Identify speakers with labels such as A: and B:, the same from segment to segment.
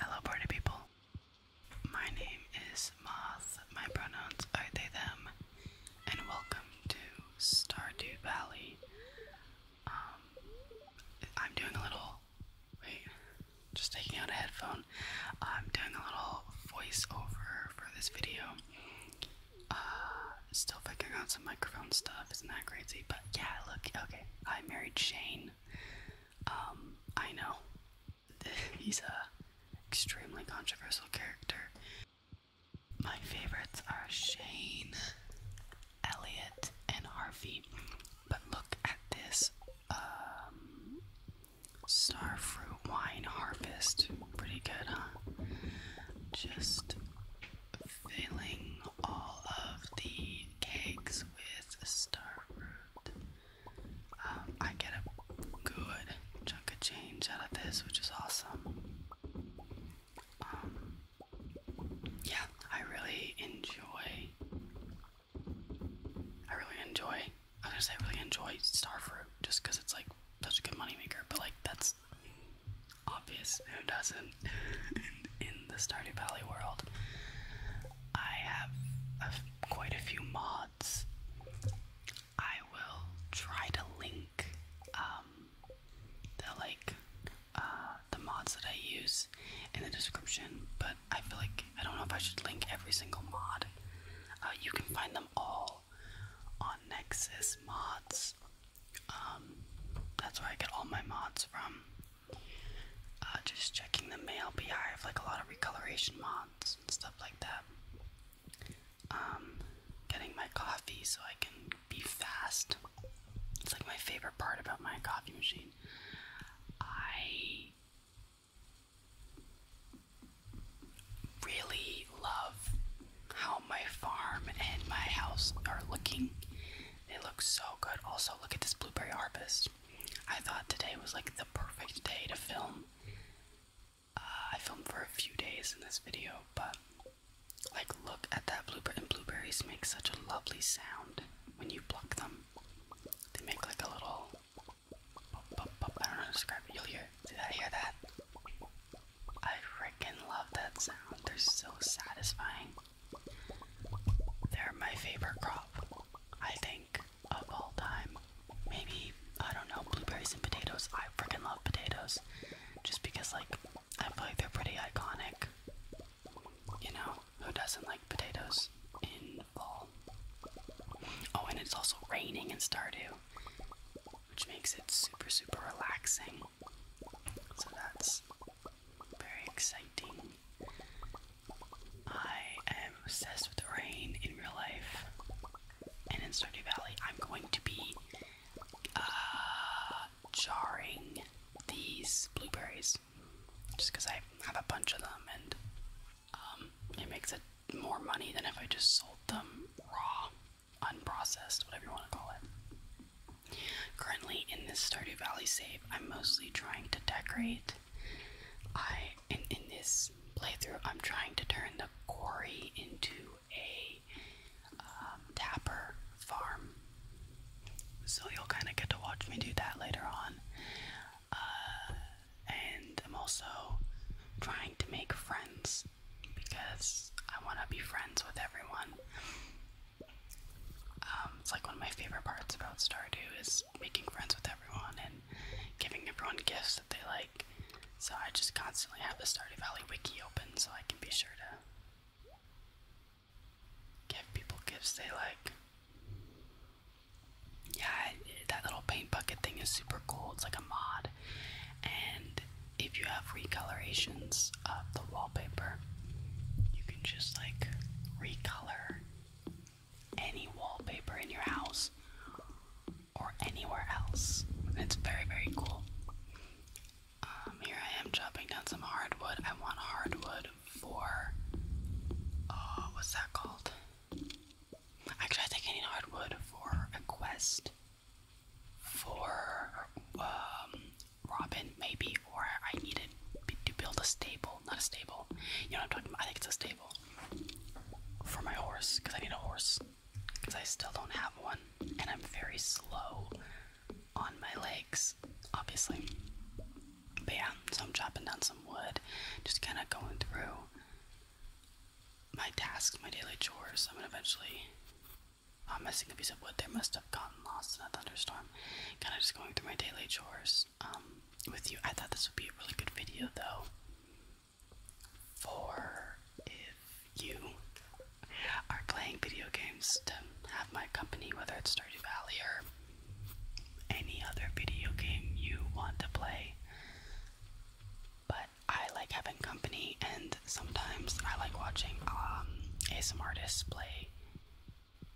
A: Hello, party people. My name is Moth. My pronouns are they, them, and welcome to Stardew Valley. Um, I'm doing a little. Wait, just taking out a headphone. I'm doing a little voiceover for this video. Uh, still figuring out some microphone stuff. Isn't that crazy? But yeah, look, okay. I married Shane. Um, I know. He's a extremely controversial character. My favorites are Shane, Elliot, and Harvey. But look at this um, fruit wine harvest. Pretty good, huh? Just filling all of the cakes with starfruit. Um, I get a good chunk of change out of this, which is awesome. Um, yeah, I really enjoy. I really enjoy. I was gonna say I really enjoy starfruit just because it's like such a good money maker, but like that's obvious. Who doesn't? in, the Stardew Valley world, I have a, quite a few mods. I will try to link um, the like uh, the mods that I use in the description, but I feel like I don't know if I should link every single mod. Uh, you can find them all on Nexus Mods. Um, that's where I get all my mods from. Uh, just checking the mail BI, I have like a lot of recoloration mods and stuff like that. Um, getting my coffee so I can be fast. It's like my favorite part about my coffee machine. I really love how my farm and my house are looking. They look so good. Also, look at this blueberry harvest. I thought today was like the perfect day to film. Uh, I filmed for a few days in this video, but like, look at that blueberry. And blueberries make such a lovely sound when you pluck them. They make like a little. I don't know how to describe it. You'll hear. Did I hear that? I freaking love that sound. They're so satisfying. They're my favorite crop, I think, of all time. Maybe, I don't know, blueberries and potatoes. I freaking love potatoes. Just because, like, I feel like they're pretty iconic. You know, who doesn't like potatoes in fall? Oh, and it's also raining in Stardew which makes it super, super relaxing. So that's very exciting. I am obsessed with the rain in real life, and in Stardew Valley, I'm going to be uh, jarring these blueberries just because I have a bunch of them, and um, it makes it more money than if I just sold them raw unprocessed, whatever you want to call it. Currently, in this Stardew Valley save, I'm mostly trying to decorate. I in, in this playthrough, I'm trying to turn the quarry into a um, tapper farm. So you'll kind of get to watch me do that later on. Uh, and I'm also trying to make friends because I want to be friends with everyone. Um, it's like one of my favorite parts about Stardew is making friends with everyone and giving everyone gifts that they like. So I just constantly have the Stardew Valley wiki open so I can be sure to give people gifts they like. Yeah, that little paint bucket thing is super cool. It's like a mod, and if you have recolorations of the wallpaper, you can just like recolor any wallpaper in your house or anywhere else. It's very, very cool. Um, here I am chopping down some hardwood. I want hardwood for. Uh, what's that called? Actually, I think I need hardwood for a quest for um, Robin, maybe, or I needed to build a stable. Not a stable. You know what I'm talking about? I think it's a stable for my horse because I need a horse because I still don't have one, and I'm very slow on my legs, obviously. But yeah, so I'm chopping down some wood, just kind of going through my tasks, my daily chores. I'm gonna eventually uh, missing a piece of wood there must have gotten lost in a thunderstorm. Kind of just going through my daily chores um, with you. I thought this would be a really good video though. For if you are playing video games to have my company, whether it's Stardew Valley or any other video game you want to play, but I like having company, and sometimes I like watching um, ASM artists play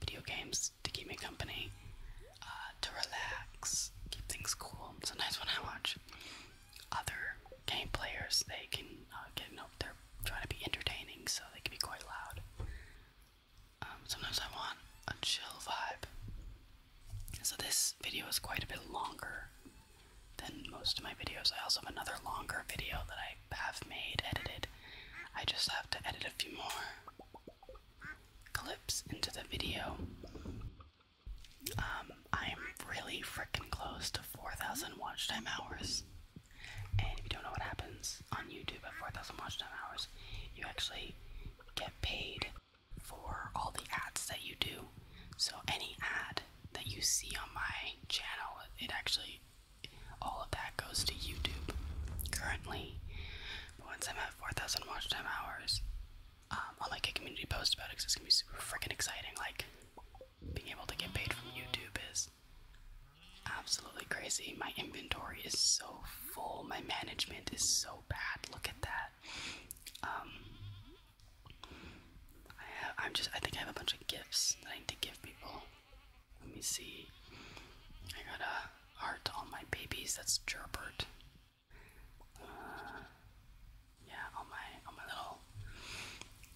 A: video games to keep me company, uh, to relax, keep things cool. Sometimes when I watch other game players, they can uh, get you they're trying to be entertaining, so they can be quite loud. Um, sometimes I want a chill vibe. So this video is quite a bit longer than most of my videos. I also have another longer video that I have made, edited. I just have to edit a few more clips into the video. Um, I'm really freaking close to 4,000 watch time hours. And if you don't know what happens on YouTube at 4,000 watch time hours, you actually get paid for all the ads that you do. So any ad that you see on my channel, it actually, all of that goes to YouTube currently. But once I'm at 4,000 watch time hours, um, I'll make a community post about it because it's gonna be super freaking exciting. Like, being able to get paid from YouTube is absolutely crazy. My inventory is so full, my management is so bad. Look at that. Um, I have, I'm just, I think I have a bunch of gifts that I need to give people. Let me see. I got a heart on my babies. That's Gerbert. Uh, yeah, on my on my little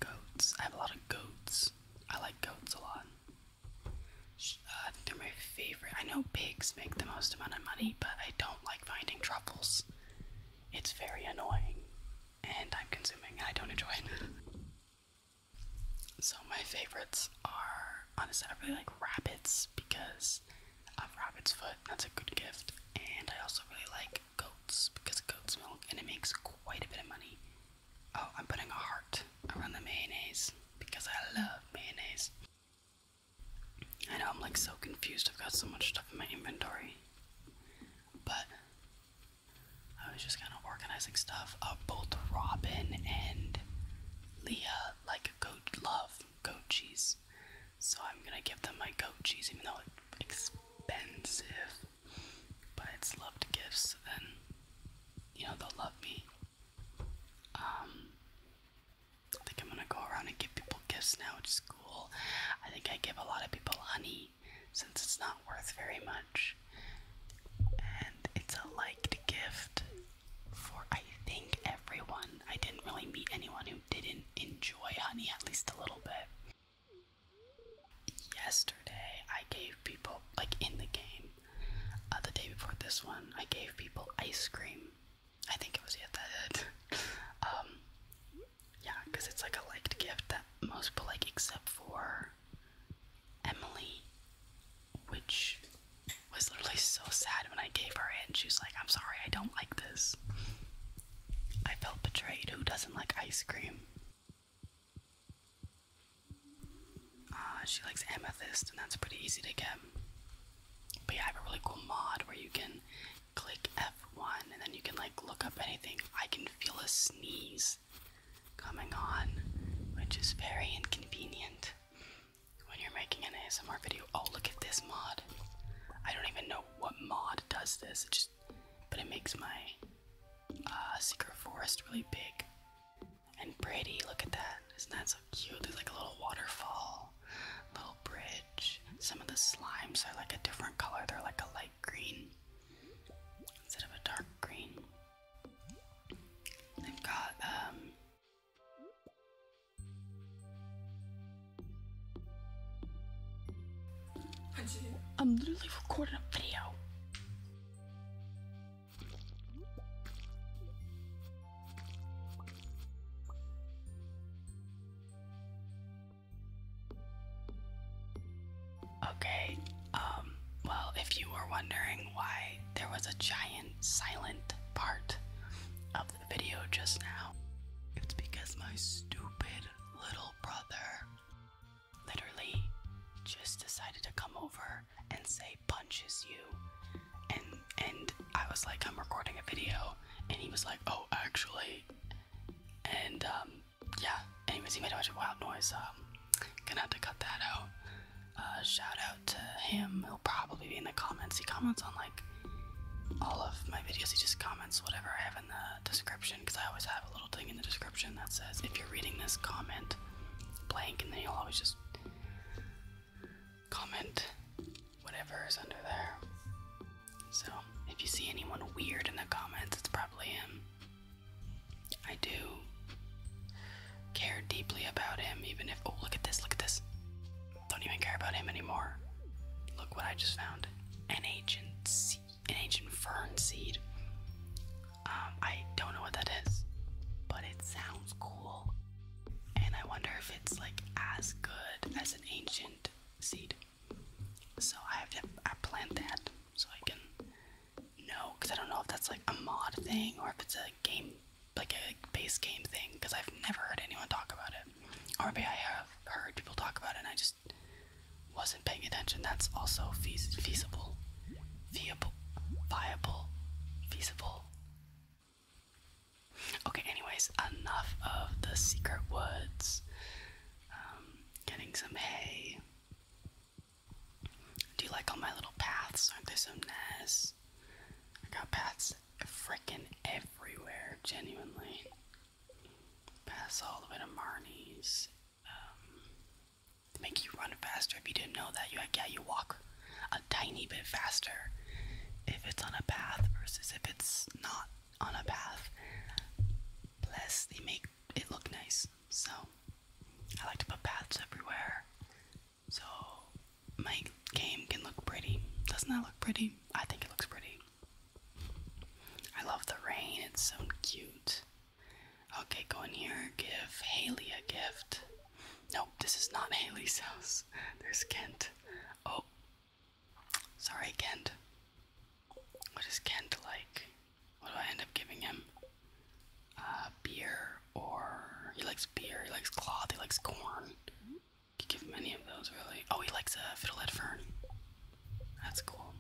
A: goats. I have a lot of goats. I like goats a lot. Uh, they're my favorite. I know pigs make the most amount of money, but I don't like finding truffles. It's very annoying and time consuming, I don't enjoy it. so, my favorites are honestly, I really like rabbits because of rabbit's foot, that's a good gift, and I also really like goats because goat's milk and it makes quite a bit of money. Oh, I'm putting a heart around the mayonnaise because I love mayonnaise. I know I'm like so confused, I've got so much stuff in my inventory. But I was just kind of organizing stuff. Uh, both Robin and Leah like goat love goat cheese, so I'm gonna give them my goat cheese, even though it's expensive, but it's loved gifts. So then, you know they'll love me. Um, I think I'm gonna go around and give people gifts now at school. I think I give a lot of people honey since it's not worth very much. And it's a liked gift for, I think, everyone. I didn't really meet anyone who didn't enjoy honey at least a little bit. Yesterday, I gave people, like in the game, uh, the day before this one, I gave people ice cream. I think it was yet that it. um, yeah, because it's like a liked gift that most people like, except for Emily, which was literally so sad when I gave her it. And she was like, I'm sorry, I don't like this. I felt betrayed. Who doesn't like ice cream? Uh, she likes amethyst, and that's pretty easy to get. But yeah, I have a really cool mod where you can click F one, and then you can like look up anything. I can feel a sneeze coming on, which is very inconvenient when you're making an ASMR video. Oh, look at this mod. I don't even know what mod does this, it just but it makes my uh, secret forest really big and pretty. Look at that. Isn't that so cute? There's like a little waterfall, little bridge. Some of the slimes are like a different color. They're like a light green instead of a dark green. They've got um, I'm literally recording a video. Okay, um, well, if you were wondering why there was a giant silent part of the video just now, it's because my stupid little brother literally just decided to come over and say punches you. And and I was like, I'm recording a video, and he was like, oh, actually. And um yeah, anyways, he made a bunch of wild noise, so um, gonna have to cut that out. Uh, shout out to him, he'll probably be in the comments. He comments on like all of my videos, he just comments whatever I have in the description because I always have a little thing in the description that says if you're reading this, comment blank, and then he will always just comment whatever is under there. So, if you see anyone weird in the comments, it's probably him. I do care deeply about him, even if. Oh, look at this, look at this. Don't even care about him anymore. Look what I just found an ancient, an ancient fern seed. Um, I don't know what that is, but it sounds cool. And I wonder if it's like as good as an ancient seed. So I have to I planned that so I can know because I don't know if that's like a mod thing or if it's a game like a base game thing because I've never heard anyone talk about it or maybe I have heard people talk about it and I just wasn't paying attention. That's also feas feasible, viable, feasible. Okay, anyways, enough of the secret woods. Um, getting some hay. Do you like all my little paths? Aren't they so nice? I got paths freaking everywhere, genuinely. Paths all the way to Marnie's. Um, make you run faster. If you didn't know that, you yeah, you walk a tiny bit faster if it's on a path versus if it's not on a path. Plus, they make it look nice. So I like to put paths everywhere so my game can look pretty. Doesn't that look pretty? I think it looks pretty. I love the rain, it's so cute. Okay, go in here, give Haley a gift. Nope, this is not Haley's house. There's Kent. Oh, sorry, Kent. What does Kent like? What do I end up giving him? Uh, beer or he likes beer, he likes cloth, he likes corn. Could give him any of those really. Oh, he likes a fiddlehead fern. That's cool.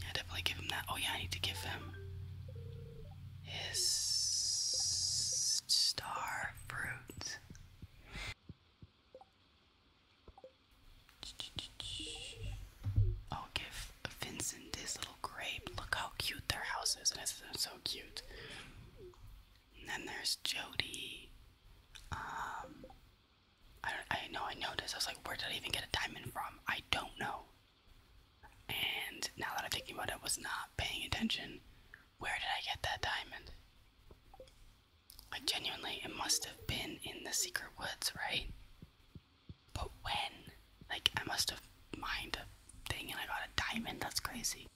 A: Yeah, definitely give him that. Oh yeah, I need to give him his star fruit. I'll give Vincent this little grape. Look how cute their house is, and it's so cute. And then there's Jody. Um, I don't, I know I noticed. I was like, where did I even get a diamond from? I don't know. And now that I'm thinking about it, was not paying attention. Where did I get that diamond? Like genuinely, it must have been in the secret woods, right? But when? Like, I must have mined a thing and I got a diamond. That's crazy.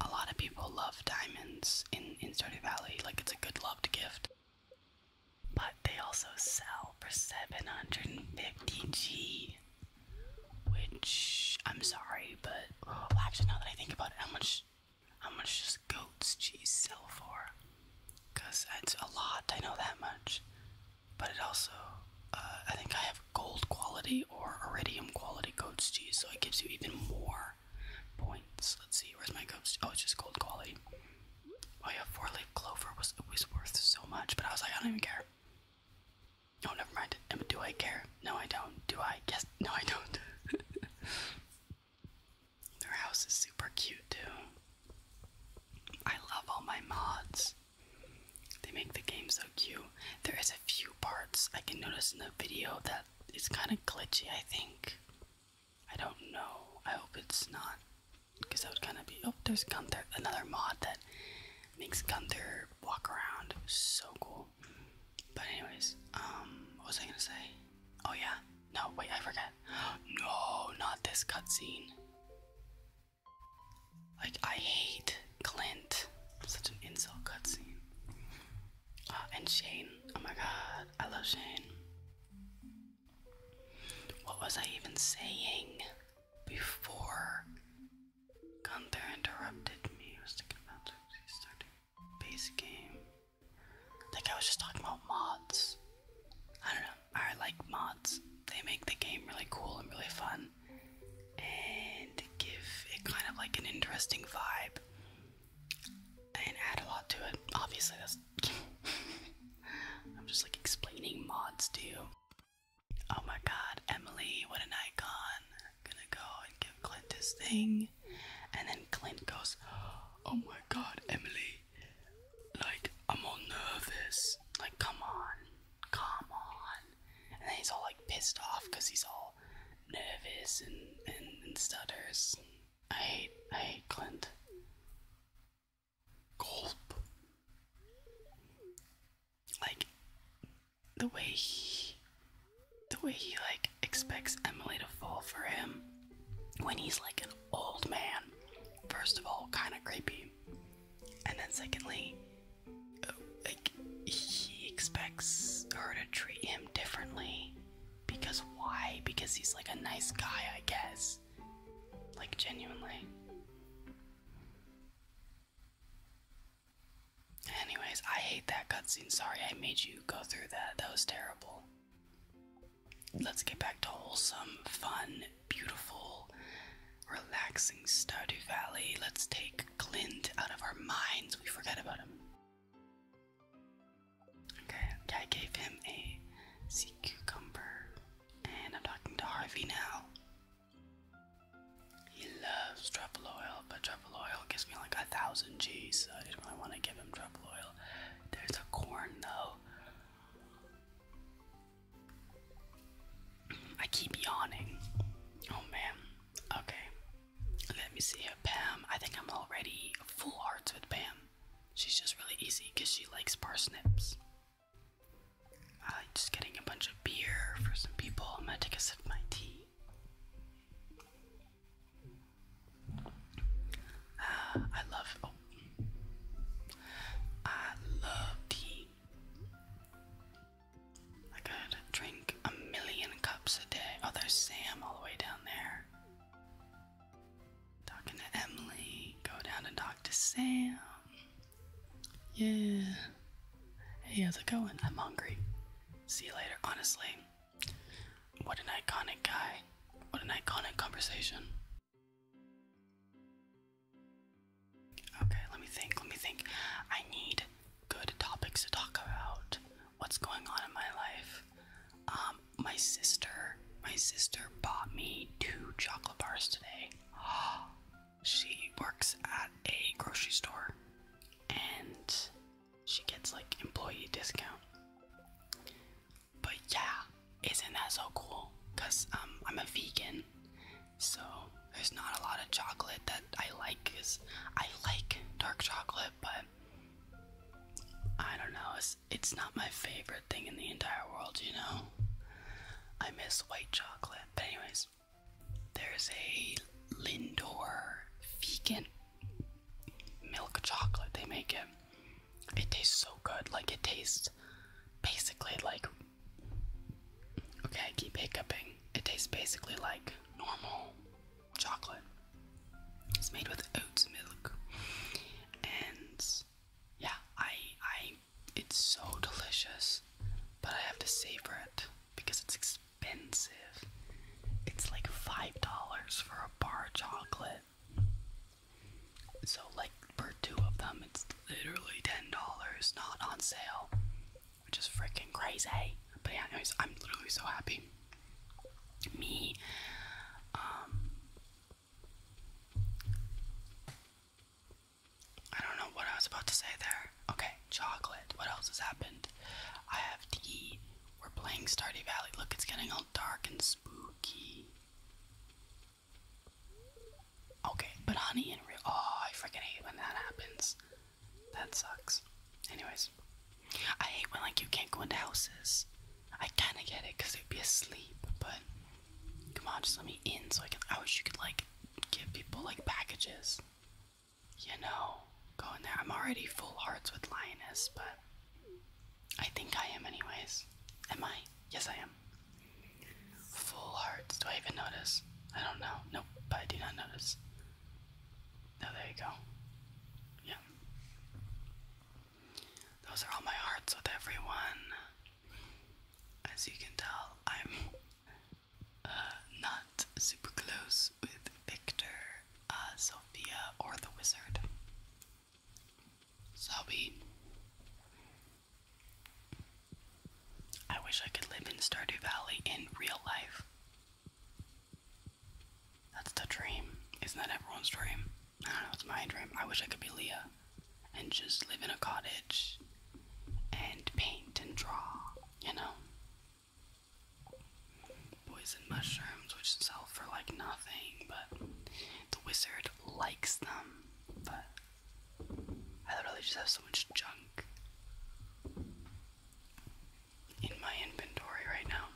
A: A lot of people love diamonds in, in Stardew Valley. Like, it's a good loved gift. But they also sell for 750G. Which, I'm sorry, but. Well, actually, now that I think about it, how much. How much goat's cheese sell for? Because that's a lot, I know that much. But it also, uh, I think I have gold quality or iridium quality goat's cheese, so it gives you even more points. Let's see, where's my goat's Oh, it's just gold quality. Oh yeah, four leaf clover was always worth so much, but I was like, I don't even care. No, oh, never mind. Do I care? No, I don't. Do I? Yes. No, I don't. Their house is super cute too. I love all my mods. They make the game so cute. There is a few parts I can notice in the video that is kind of glitchy, I think. I don't know. I hope it's not. Because that would kind of be. Oh, there's Gunther. Another mod that makes Gunther walk around. So cool. But, anyways, um, what was I gonna say? Oh yeah. No, wait, I forget. No, not this cutscene. Like I hate Clint. Such an insult cutscene. Uh, and Shane. Oh my god, I love Shane. What was I even saying before Gunther interrupted me? I was thinking about starting base game. Like I was just talking about mods. I don't know. I like mods. They make the game really cool and really fun, and give it kind of like an interesting vibe, and add a lot to it. Obviously, that's. I'm just like explaining mods to you. Oh my god, Emily, what an icon. I'm gonna go and give Clint his thing. And then Clint goes, Oh my god, Emily, like, I'm all nervous. Like, come on. Come on. And then he's all like pissed off because he's all nervous and, and, stutters. I hate, I hate Clint. Gulp. Like, the way he, the way he like expects Emily to fall for him when he's like an old man, first of all, kind of creepy, and then secondly, like he expects her to treat him differently because why? Because he's like a nice guy, I guess. Like, genuinely. Anyways, I hate that cutscene. Sorry I made you go through that. That was terrible let's get back to wholesome, fun, beautiful, relaxing Stardew Valley. Let's take Glint out of our minds. We forget about him. Okay, I gave him a sea cucumber. And I'm talking to Harvey now. He loves truffle oil, but truffle oil gives me like a thousand G's, so I didn't really want to give him truffle oil. There's a corn though. I keep yawning. Oh man. Okay. Let me see here. Pam. I think I'm already full hearts with Pam. She's just really easy because she likes parsnips. just getting a bunch of beer for some people. I'm gonna take a sip of my tea. Ah, I love. Oh, I love tea. I could drink a million cups a day. Oh, there's Sam all the way down there. Talking to Emily. Go down and talk to Sam. Yeah. Hey, how's it going? I'm hungry. See you later. Honestly, what an iconic guy. What an iconic conversation. Okay, let me think, let me think. I need good topics to talk about. What's going on in my life? Um, my sister, my sister bought me two chocolate bars today. she works at a grocery store and she gets like employee discount. But yeah, isn't that so cool? Cause um, I'm a vegan, so there's not a lot of chocolate that I like. Cause I like dark chocolate, but I don't know. It's it's not my favorite thing in the entire world, you know. I miss white chocolate. But anyways, there's a Lindor vegan milk chocolate. They make it. It tastes so good. Like it tastes basically like Okay, I keep hiccuping. It tastes basically like normal chocolate. It's made with oats milk. And yeah, I I it's so delicious, but I have to savor it because it's expensive. It's like $5 for a bar chocolate. So, like, for two of them, it's literally $10, not on sale, which is freaking crazy. But yeah, anyways, I'm literally so happy. Me, um, I don't know what I was about to say there. Okay, chocolate. What else has happened? I have tea. We're playing Stardew Valley. Look, it's getting all dark and spooky. Okay, but honey in real. Oh, I freaking hate when that happens. That sucks. Anyways, I hate when like you can't go into houses. I kind of get it because they'd be asleep, but come on, just let me in so I can. I wish you could like give people like packages. You know, go in there. I'm already full hearts with lioness, but I think I am, anyways. Am I? Yes, I am. Full hearts. Do I even notice? I don't know. Nope, but I do not notice. Now, there you go. Yeah. Those are all my hearts with everyone. As you can tell, I'm uh, not super close with Victor, uh, Sophia, or the wizard. Zombie. I wish I could live in Stardew Valley in real life. That's the dream. Isn't that everyone's dream? I don't know, it's my dream. I wish I could be Leah and just live in a cottage and paint and draw, you know? Poison mushrooms, which sell for like nothing, but the wizard likes them but I literally just have so much junk in my inventory right now.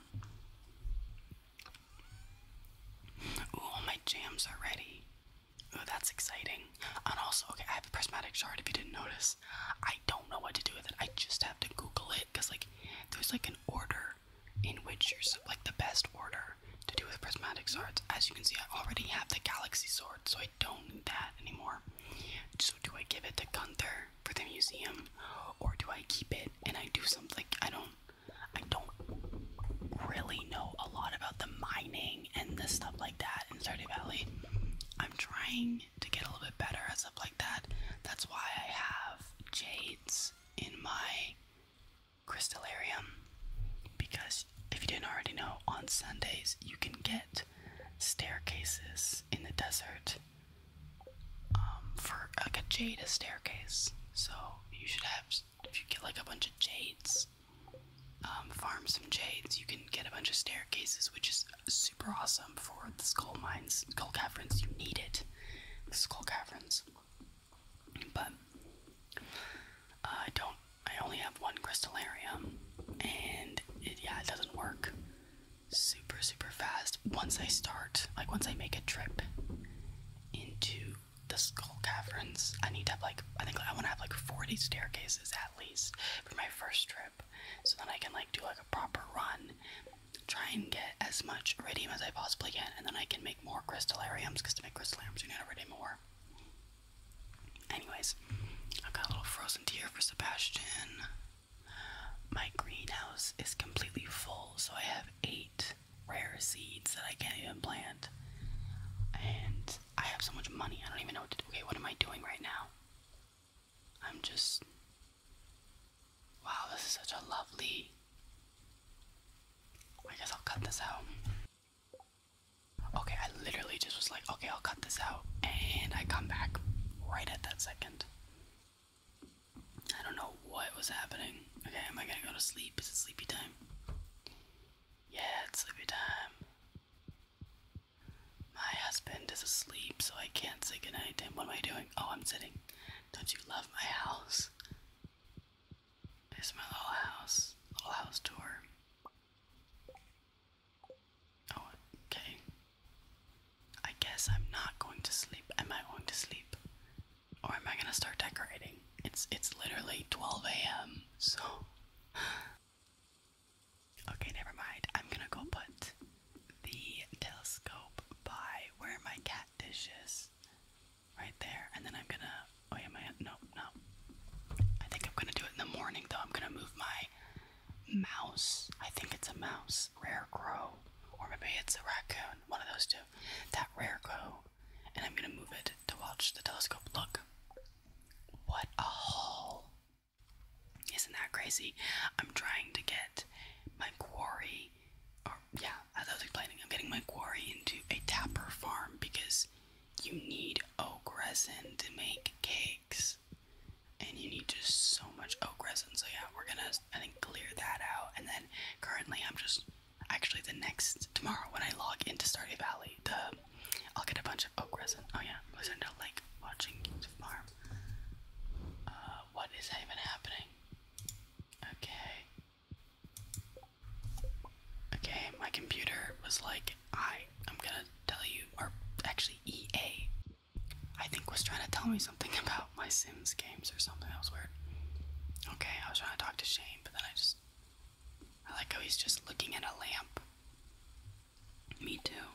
A: Ooh, all my jams are ready. Ooh, that's exciting. And also, okay, I have a prismatic shard if you didn't notice. I don't know what to do with it. I just have to Google it because, like, there's like an order in which you're like the best order later to do with prismatic swords. As you can see, I already have the galaxy sword, so I don't need that anymore. So do I give it to Gunther for the museum, or do I keep it and I do something? Like, I don't, I don't really know a lot about the mining and this stuff like that in Stardew Valley. I'm trying to get a little bit better at stuff like that. That's why I have jades in my Crystalarium, because if you didn't already know, on Sundays you can get staircases in the desert um, for like a jade staircase. So you should have, if you get like a bunch of jades, um, farm some jades, you can get a bunch of staircases, which is super awesome for the skull mines, skull caverns. You need it, the skull caverns. But uh, I don't. I only have one crystalarium, and it, yeah, it doesn't work super super fast. Once I start, like once I make a trip into the skull caverns, I need to have like I think I want to have like forty staircases at least for my first trip, so then I can like do like a proper run, try and get as much radium as I possibly can, and then I can make more crystalariums because to make crystalariums you need to iridium more. Anyways, i got a little frozen tea for Sebastian. My greenhouse is completely full, so I have eight rare seeds that I can't even plant. And I have so much money, I don't even know what to do. Okay, what am I doing right now? I'm just. Wow, this is such a lovely. I guess I'll cut this out. Okay, I literally just was like, okay, I'll cut this out. And I come back right at that second. I don't know what was happening. Okay, am I gonna go to sleep? Is it sleepy time? Yeah, it's sleepy time. My husband is asleep, so I can't say goodnight to him. What am I doing? Oh, I'm sitting. Don't you love my house? Here's my little house, little house tour. Oh, okay. I guess I'm not going to sleep. Am I going to sleep? Or am I gonna start decorating? It's it's literally 12 a.m. So Okay, never mind. I'm gonna go put the telescope by where my cat dish right there, and then I'm gonna. Oh yeah, my no, no. I think I'm gonna do it in the morning though. I'm gonna move my mouse. I think it's a mouse, rare crow, or maybe it's a raccoon. One of those two. That rare crow, and I'm gonna move it to watch the telescope. Look, what a haul! Isn't that crazy? I'm trying to get my quarry. Or yeah, as I was explaining, I'm getting my quarry into a tapper farm because you need oak resin to make cakes. And you need just so much oak resin. So yeah, we're gonna I think clear that out. And then currently I'm just actually the next tomorrow when I log into Stardew Valley, the I'll get a bunch of oak resin. Oh yeah, listen to like watching farm. Uh what is even happening? Okay. Okay, my computer was like, I i am gonna tell you, or actually EA, I think was trying to tell me something about my Sims games or something. else weird. Okay, I was trying to talk to Shane, but then I just, I like how he's just looking at a lamp. Me too.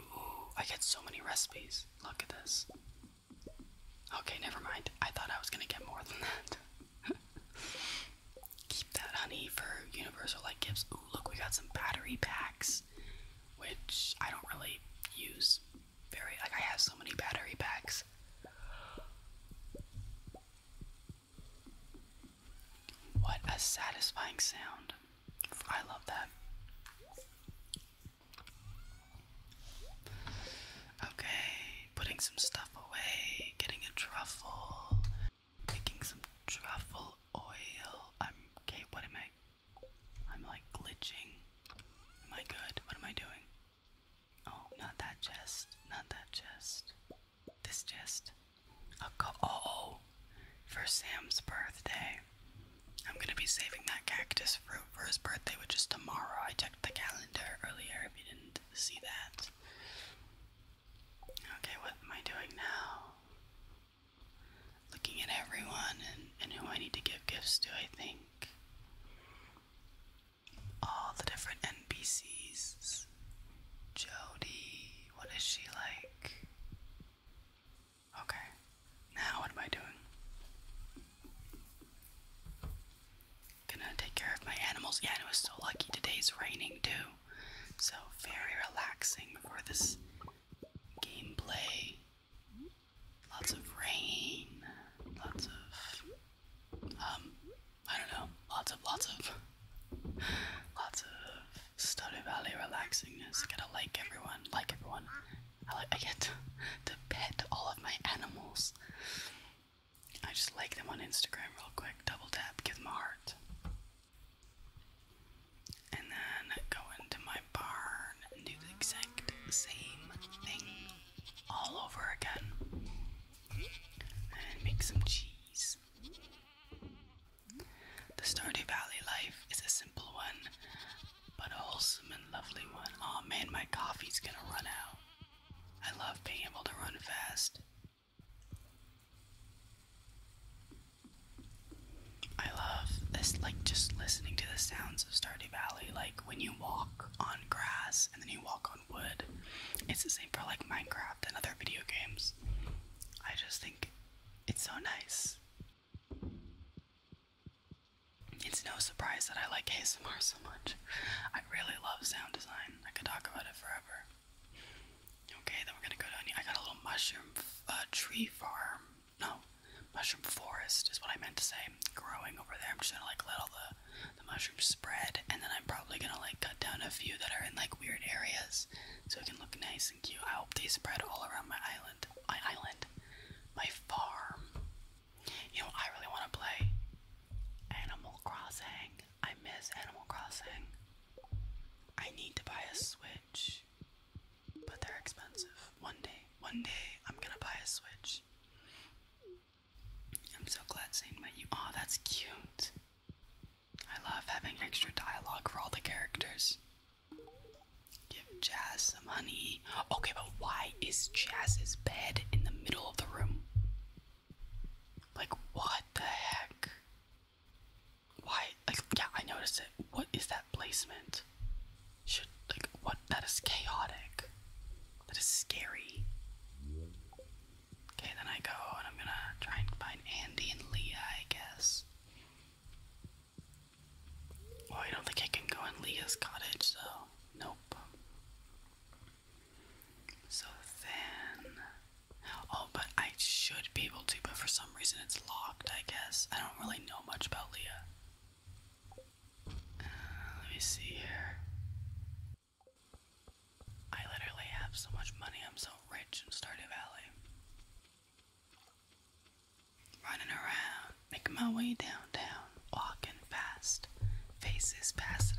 A: Ooh, I get so many recipes. Look at this. Okay, never mind. I thought I was gonna get more than that. Keep that honey for universal like gifts. Ooh, look, we got some battery packs, which I don't really use very. Like, I have so many battery packs. What a satisfying sound. I love that. Okay, putting some stuff away, getting a truffle, making some truffle oil. I'm okay, what am I? I'm like glitching. Am I good? What am I doing? Oh, not that chest, not that chest. This chest. A co oh, for Sam's birthday. I'm gonna be saving that cactus fruit for his birthday, which is tomorrow. I checked the calendar earlier if you didn't see that. Okay, what am I doing now? Looking at everyone and, and who I need to give gifts to, I think. All the different NPCs. Jody, what is she like? Okay, now what am I doing? gonna take care of my animals. Yeah, and it was so lucky today's raining too. So very relaxing for this game play. Lots of rain, lots of um I don't know, lots of lots of lots of Stardew Valley relaxingness. Gotta like everyone, like everyone. I like I get to pet all of my animals. I just like them on Instagram real quick. Double tap, give them a heart. And then go into my barn and do the exact same thing all over again. And make some cheese. The Stardew Valley life is a simple one, but wholesome and lovely one. oh, man, my coffee's gonna run out. I love being able to run fast. I love this, like just listening to the sounds of Stardew Valley. Like when you walk on grass and then you walk on wood, it's the same for like Minecraft and other video games. I just think it's so nice. It's no surprise that I like ASMR so much. I really love sound design. I could talk about it forever. Okay, then we're gonna go to. here. I got a little mushroom uh, tree farm. No, mushroom forest is what I meant to say. Growing over there. I'm just gonna like let all the the mushrooms spread, and then I'm probably gonna like cut down a few that are in like weird areas, so it can look nice and cute. I hope they spread all around my island. My island, my farm. You know, I really want to play Animal Crossing. I miss Animal Crossing. I need to buy a Switch, but they're expensive. One day, one day, I'm gonna buy a Switch. I'm so glad Zane met you. Aw, oh, that's cute. I love having extra dialogue for all the characters. Give Jazz some honey. Okay, but why is Jazz's bed in the middle of the room? Like, what the heck? Why? Like, yeah, I noticed it. What is that placement? Should, like, what? That is chaotic. That is scary. Okay, then I go and I'm gonna try and find Andy and Leah, I guess. Well, I don't think I can go in Leah's cottage, so nope. So thin. oh, but I should be able to, but for some reason it's locked, I guess. I don't really know much about Leah. Uh, let me see here. I literally have so much money, I'm so rich in Stardew Valley. Running around, making my way downtown, walking fast, faces passing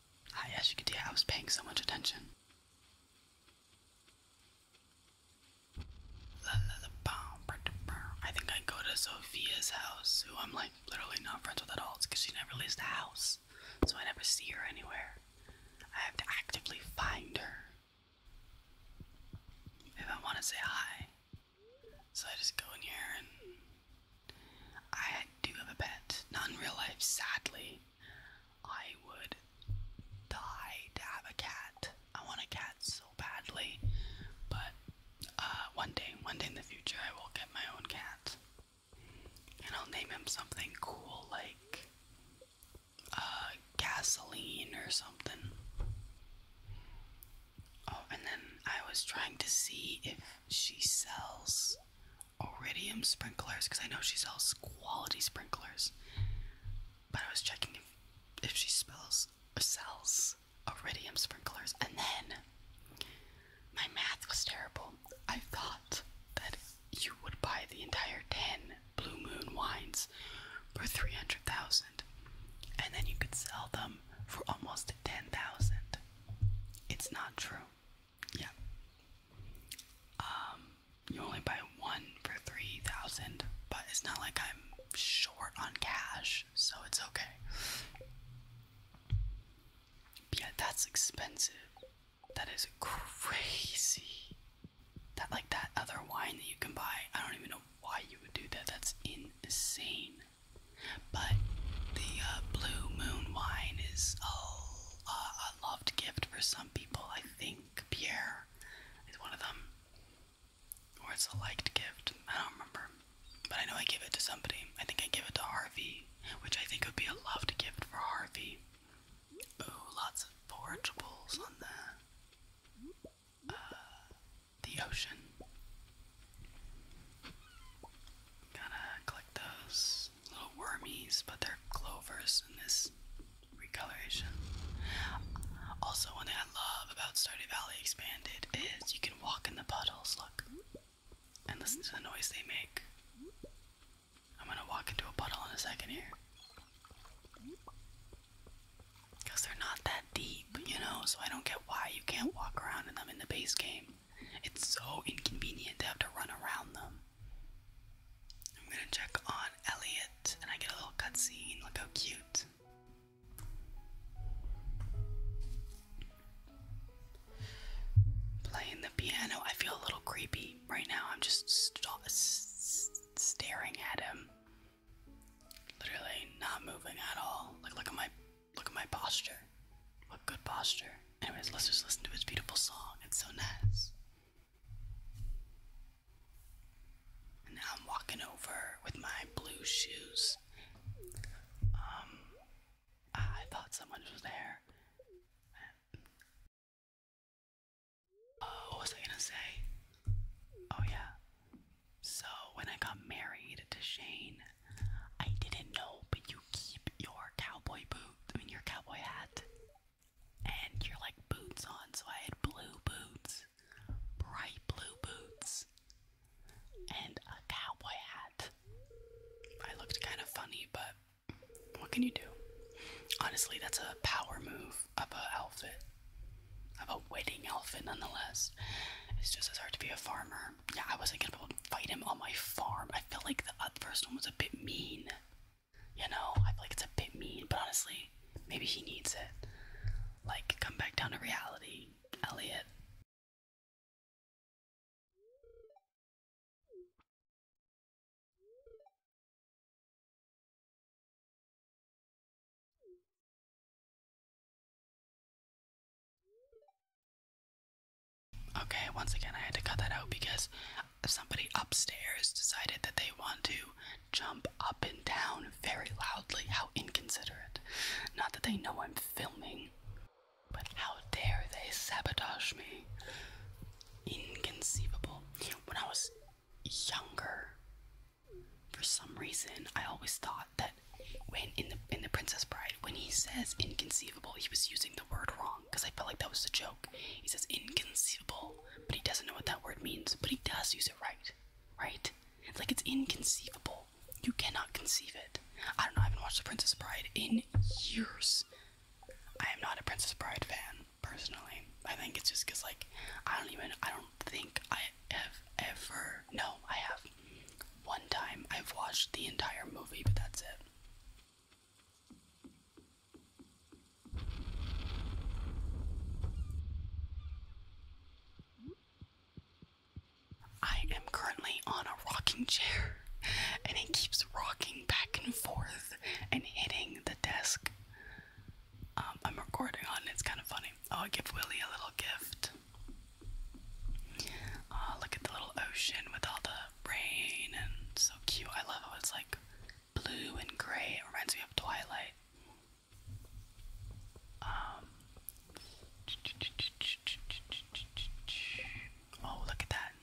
A: I, as you can see, I was paying so much attention. I think I go to Sophia's house, who I'm like literally not friends with at all. because she never leaves the house, so I never see her anywhere. I have to actively find her if I want to say hi. So I just go in here and I do have a pet, not in real life, sadly. I would die to have a cat. I want a cat so badly, but uh, one day, one day in the future, I will get my own cat. And I'll name him something cool like uh, gasoline or something. Oh, and then I was trying to see if she sells Iridium sprinklers because I know she sells quality sprinklers. But I was checking if, she spells or sells Iridium sprinklers, and then my math was terrible. I thought that you would buy the entire ten Blue Moon wines for three hundred thousand, and then you could sell them for almost ten thousand. It's not true. Yeah. Um, you only buy one for 3000 but it's not like I'm short on cash, so it's okay. yeah, that's expensive. That is crazy. That like that other wine that you can buy, I don't even know why you would do that. That's insane. But the uh, blue moon wine is a uh, a loved gift for some people. I think Pierre is one of them. Or it's a liked gift. I don't remember. But I know I gave it to somebody. I think I gave it to Harvey, which I think would be a loved gift for Harvey. Ooh, lots of forageables on the, uh, the ocean. Gotta collect those little wormies, but they're clovers in this recoloration. Also, one thing I love about Stardew Valley Expanded is you can walk in the puddles, look, and listen to the noise they make. I'm gonna walk into a puddle in a second here. Because they're not that deep, you know, so I don't get why you can't walk around in them in the base game. It's so inconvenient to have to run around them. I'm gonna check on Elliot and I get a little cutscene. Look how cute. Playing the piano. I feel a little creepy right now. I'm just staring at him. Literally not moving at all. Like look at my look at my posture. What good posture. Anyways, let's just listen to his beautiful song. It's so nice. And now I'm walking over with my blue shoes. Um, I thought someone was there. Oh, what was I gonna say? Oh, yeah. So, when I got married to Shane, I didn't know, but you you keep your cowboy boot, I mean your cowboy hat, and your like boots on. So I had blue boots, bright blue boots, and a cowboy hat. I looked kind of funny, but what can you do? Honestly, that's a power move of a outfit, of a wedding outfit, nonetheless. It's just as hard to be a farmer. Yeah, I wasn't gonna fight him on my farm. I felt like the first one was a bit mean. You know, I feel like it's a bit mean, but honestly, maybe he needs it. Like, come back down to reality, Elliot. Okay, once again, I had to cut that out because somebody upstairs decided that they want to jump up and down very loudly. How inconsiderate. Not that they know I'm filming, but how dare they sabotage me. Inconceivable. When I was younger, for some reason, I always thought that when in the in the Princess Bride, when he says inconceivable, he was using the word wrong because I felt like that was a joke. He says inconceivable, but he doesn't know what that word means, but he does use it right, right? It's like it's inconceivable. You cannot conceive it. I don't know, I haven't watched The Princess Bride in years. I am not a Princess Bride fan, personally. I think it's just because, like, I don't even, I don't think I have ever, no, I have. One time I've watched the entire movie, but that's it. I am currently on a rocking chair and it keeps rocking back and forth and hitting the desk. Um, I'm recording on it's kind of funny. Oh, i give Willie a little gift. Uh, look at the little ocean with all the rain and so cute. I love how it's like blue and gray. reminds me of Twilight. Um, oh, look at that.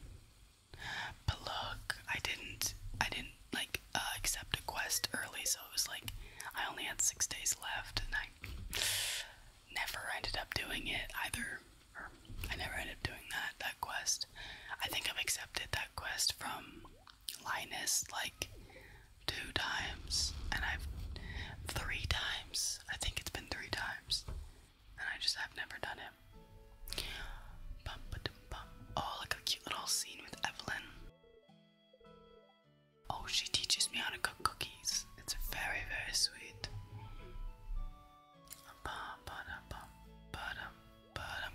A: But look, I didn't, I didn't like uh, accept a quest early, so it was like I only had six days left, and I never ended up doing it either. I never ended up doing that, that quest. I think I've accepted that quest from Linus like two times, and I've three times. I think it's been three times, and I just have never done it. Oh, like a cute little scene with Evelyn. Oh, she teaches me how to cook cookies. It's very, very sweet.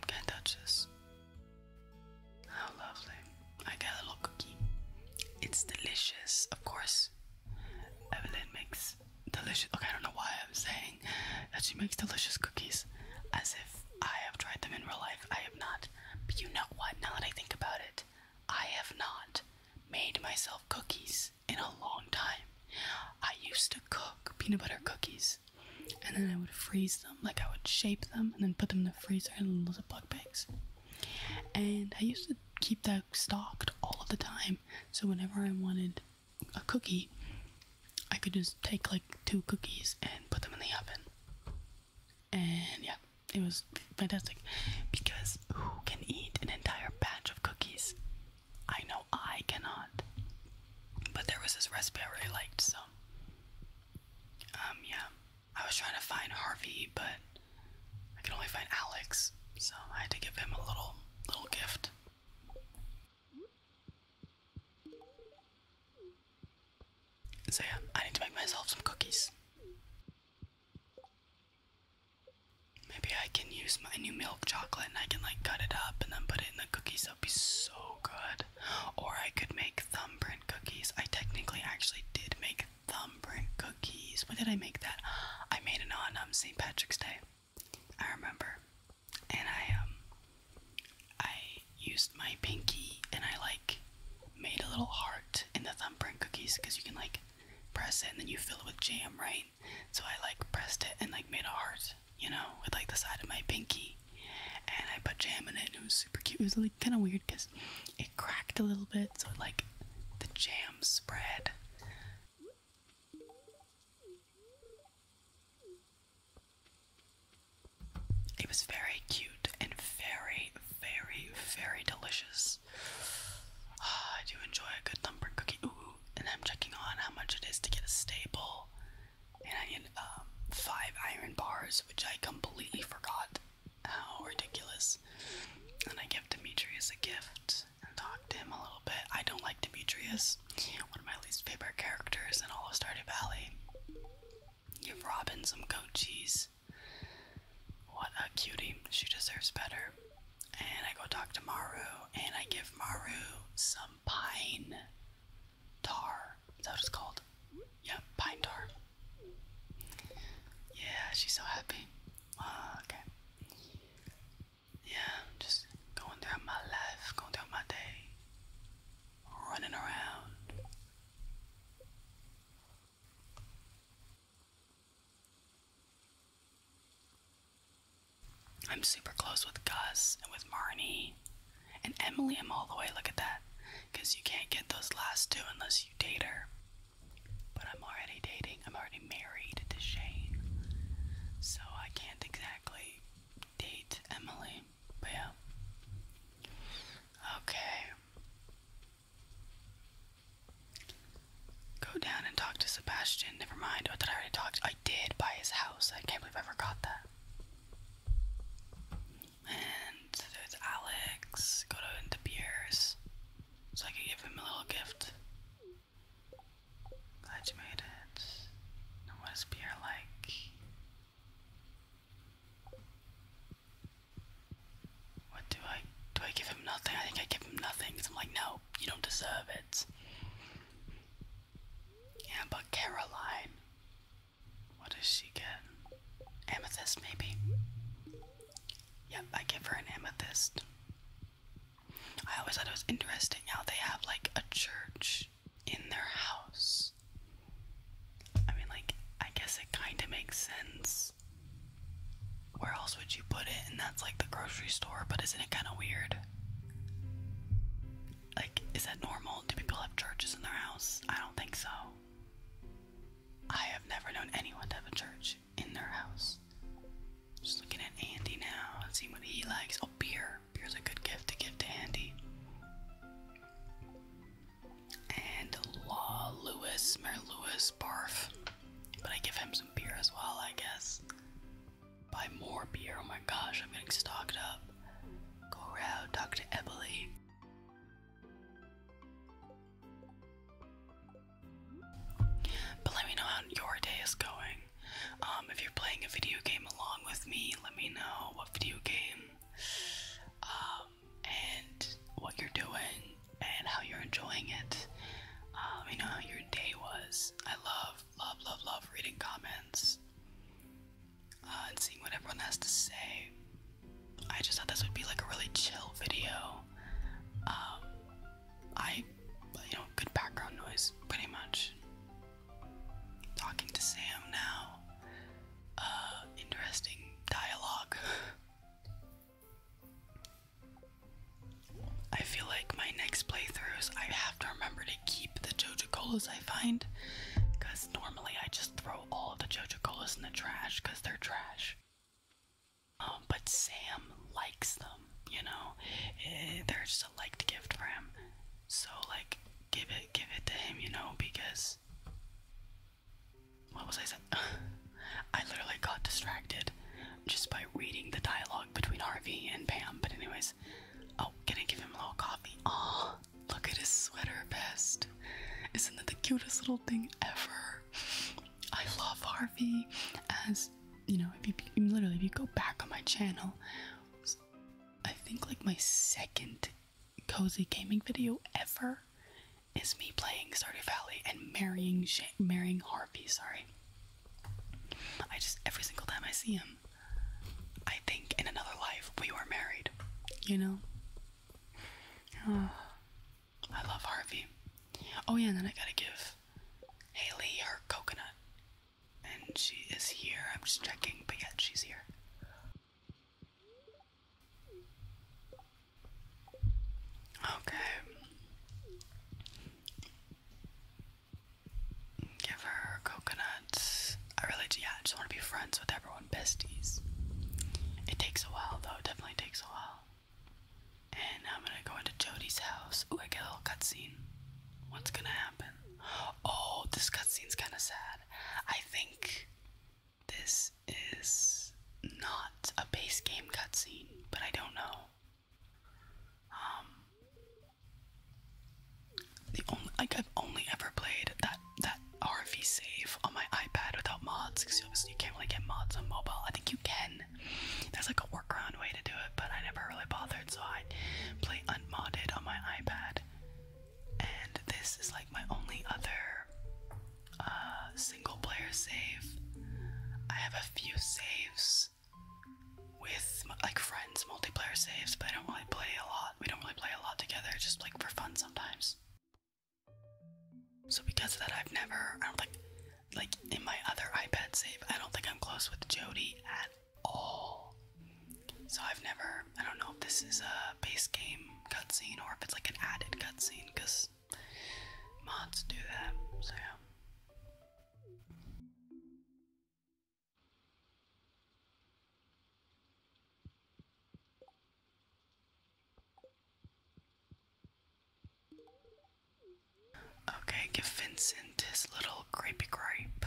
A: Can't touch this. How lovely. I got a little cookie. It's delicious, of course. Evelyn makes delicious. Okay, I don't know why I'm saying that she makes delicious cookies as if I have tried them in real life. I have not. But you know what? Now that I think about it, I have not made myself cookies in a long time. I used to cook peanut butter cookies and then I would freeze them. Like I would shape them and then put them in the freezer in little bug bags. And I used to keep that stocked all of the time. So whenever I wanted a cookie, I could just take like two cookies and put them in the oven. And yeah, it was fantastic because who can eat an entire batch of cookies? I know I cannot. But there was this recipe I really liked, so. Um, yeah. I was trying to find Harvey, but I could only find Alex, so I had to give him a little, little gift. So yeah, I need to make myself some cookies. Maybe I can use my new milk chocolate and I can like cut it up and then put it in the cookies. That would be so so good. Or I could make thumbprint cookies. I technically actually did make thumbprint cookies. When did I make that? I made it on um, St. Patrick's Day. I remember. And I um I used my pinky and I like made a little heart in the thumbprint cookies because you can like press it and then you fill it with jam, right? So I like pressed it and like made a heart you know, with like the side of my pinky. And I put jam in it, and it was super cute. It was like kind of weird because it cracked a little bit, so like the jam spread. It was very cute and very, very, very delicious. Ah, I do enjoy a good lumber cookie. Ooh, and I'm checking on how much it is to get a staple and I need um, five iron bars, which I completely forgot how ridiculous. And I give Demetrius a gift and talk to him a little bit. I don't like Demetrius, one of my least favorite characters in all of Stardew Valley. Give Robin some goat cheese. What a cutie. She deserves better. And I go talk to Maru and I give Maru some pine tar. that was called? Yeah, pine tar. Yeah, she's so happy. Ah, okay. Yeah, just going through my life, going through my day, running around. I'm super close with Gus and with Marnie and Emily. I'm all the way. Look at that. Because you can't get those last two unless you date her. But I'm already dating. I'm already married to Shane. So I can't exactly date Emily. But yeah. Okay. Go down and talk to Sebastian. Never mind. Oh, did I already talk? I did buy his house. I can't believe I forgot that. And it's Alex, go to the Pierce. So I could give him a little gift. Glad you made it. what is beer like? What do I do I give him nothing? I think I give him nothing I'm like, no, you don't deserve it. Yeah, but Caroline. What does she get? Amethyst, maybe? Yep, I give her an amethyst. I always thought it was interesting how they have like a church in their house. I mean, like, I guess it kind of makes sense. Where else would you put it? And that's like the grocery store, but isn't it kind of weird? Like, is that normal? Do people have churches in their house? I don't think so. I have never known anyone to have a church in their house. Just looking at Andy now and seeing what he likes. Oh, beer. Beer's a good gift to give to Andy. And Law Lewis, Mary Lewis, barf. But I give him some beer as well, I guess. Buy more beer. Oh my gosh, I'm getting stocked up. Go around, talk to Emily. But let me know how your day is going. Um, if you're playing a video game along with me, let me know what video game, um, and what you're doing, and how you're enjoying it. let um, me know how your day was. I love, love, love, love reading comments. Uh, and seeing what everyone has to say. I just thought this would be like a really chill video. Um, I, you know, good background noise, pretty much. Talking to Sam now. Uh, interesting dialogue. I feel like my next playthroughs, I have to remember to keep the JoJo Jojo Colas I find because normally I just throw all of the Jojo Colas in the trash because they're trash. Um, but Sam likes them, you know. Eh, they're just a liked gift for him, so like give it, give it to him, you know, because what was I saying? I literally got distracted just by reading the dialogue between Harvey and Pam. But anyways, oh, gonna give him a little coffee. Oh, Look at his sweater vest. Isn't that the cutest little thing ever? I love Harvey. As you know, if you literally, if you go back on my channel, I think like my second cozy gaming video ever is me playing Stardew Valley and marrying, marrying Harvey. Sorry. I just every single time I see him, I think in another life we were married, you know? Oh, I love Harvey. Oh, yeah, and then I gotta give Haley her coconut. And she is here. I'm just checking, but yeah, she's here. Okay. Give her coconuts. I really, yeah, I just want to be friends with everyone, besties. It takes a while though, it definitely takes a while. And I'm gonna go into Jody's house. Ooh, I get a little cutscene. What's gonna happen? Oh, this cutscene's kind of sad. I think this is not a base game cutscene, but I don't know. Um, the only like I've only ever played that that RV save on my iPad without mods because obviously you can't really get mods on mobile. I think you can. There's like a workaround way to do it, but I never really bothered, so I play unmodded on my iPad. And this is like my only other uh, single player save. I have a few saves with like from multiplayer saves, but I don't really play a lot. We don't really play a lot together, just like for fun sometimes. So because of that, I've never, I don't think, like in my other iPad save, I don't think I'm close with Jody at all. So I've never, I don't know if this is a base game cutscene or if it's like an added cutscene, because mods do that, so yeah. Okay, give Vincent his little grapey gripe.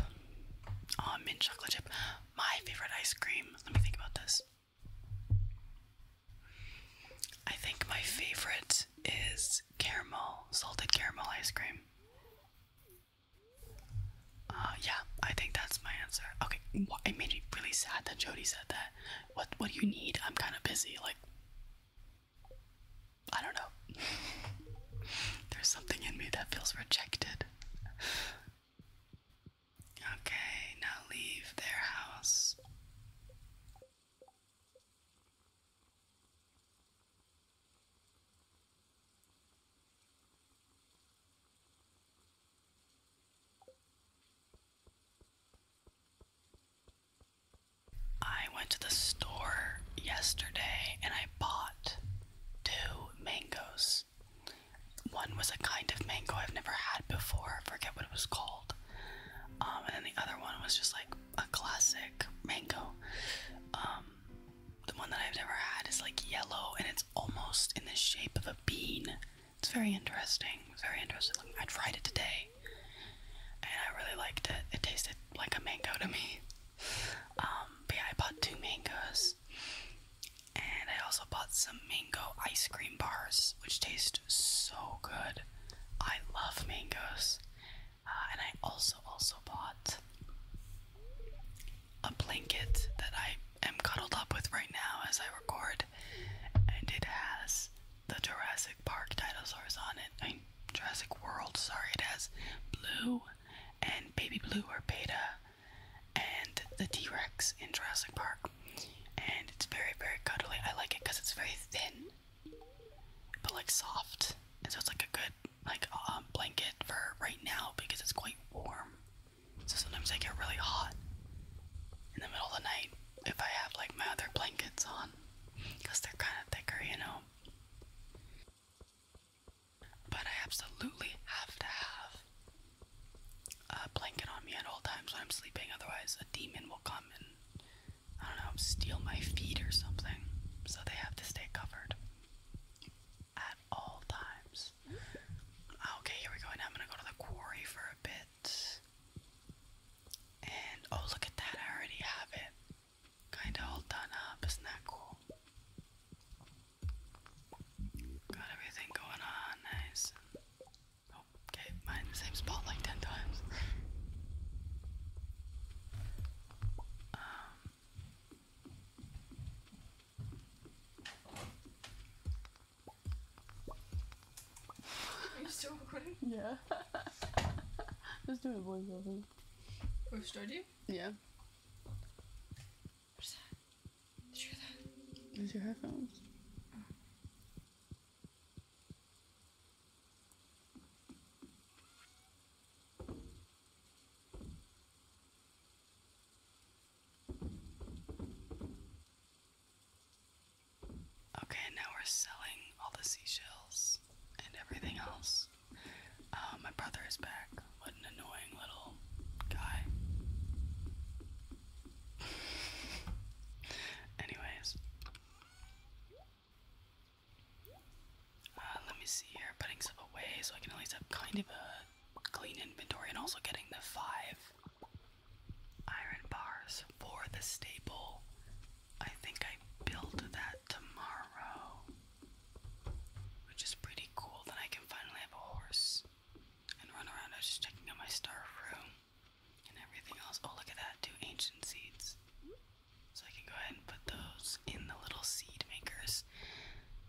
A: Oh, mint chocolate chip. My favorite ice cream. Let me think about this. I think my favorite is caramel, salted caramel ice cream. Uh, yeah, I think that's my answer. Okay, it made me really sad that Jody said that. What What do you need? I'm kind of busy. Like, I don't know. There's something in me that feels rejected. Okay, now leave their house. I went to the store yesterday and I bought two mangoes. One was a kind of mango I've never had before, I forget what it was called. Um, and then the other one was just like a classic mango. Um, the one that I've never had is like yellow and it's almost in the shape of a bean. It's very interesting. It's very interesting. I tried it today and I really liked it. It tasted like a mango to me. Um, but I bought two mangoes and I also bought some mango ice cream bars, which taste so good. I love mangoes. Uh, and I also also bought a blanket that I am cuddled up with right now as I record, and it has the Jurassic Park dinosaurs on it. I mean, Jurassic World, sorry, it has blue and baby blue or beta and the T Rex in Jurassic Park. And it's very, very cuddly. I like it because it's very thin but like soft. And so it's like a good like um, blanket for right now because it's quite warm. So sometimes I get really hot in the middle of the night if I have like my other blankets on because they're kind of thicker, you know. But I absolutely have to have a blanket on me at all times when I'm sleeping, otherwise, a demon will come and I don't know, steal my feet or something. So they have to stay covered at all times. Okay, here we go. Now I'm gonna go to the quarry for a bit. And oh, look at that! I already have it. Kinda all done up. Isn't that cool? Got everything going on. Nice. Oh, okay, mine the same spot like ten times. Um, are you still recording? Yeah. let Just doing a voiceover. thing. Oh, started you? Yeah. What's that? your headphones. Okay, now we're selling all the seashells and everything else. Uh, my brother is back. What an annoying little guy. Anyways, uh, let me see here. Putting stuff away so I can at least have kind of a clean inventory and also getting the five iron bars for the staple. I think I built that tomorrow, which is pretty cool. Then I can finally have a horse and run around. I was just checking out my star room and everything else. Oh, look at that! Two ancient seeds. So I can go ahead and put those in the little seed makers.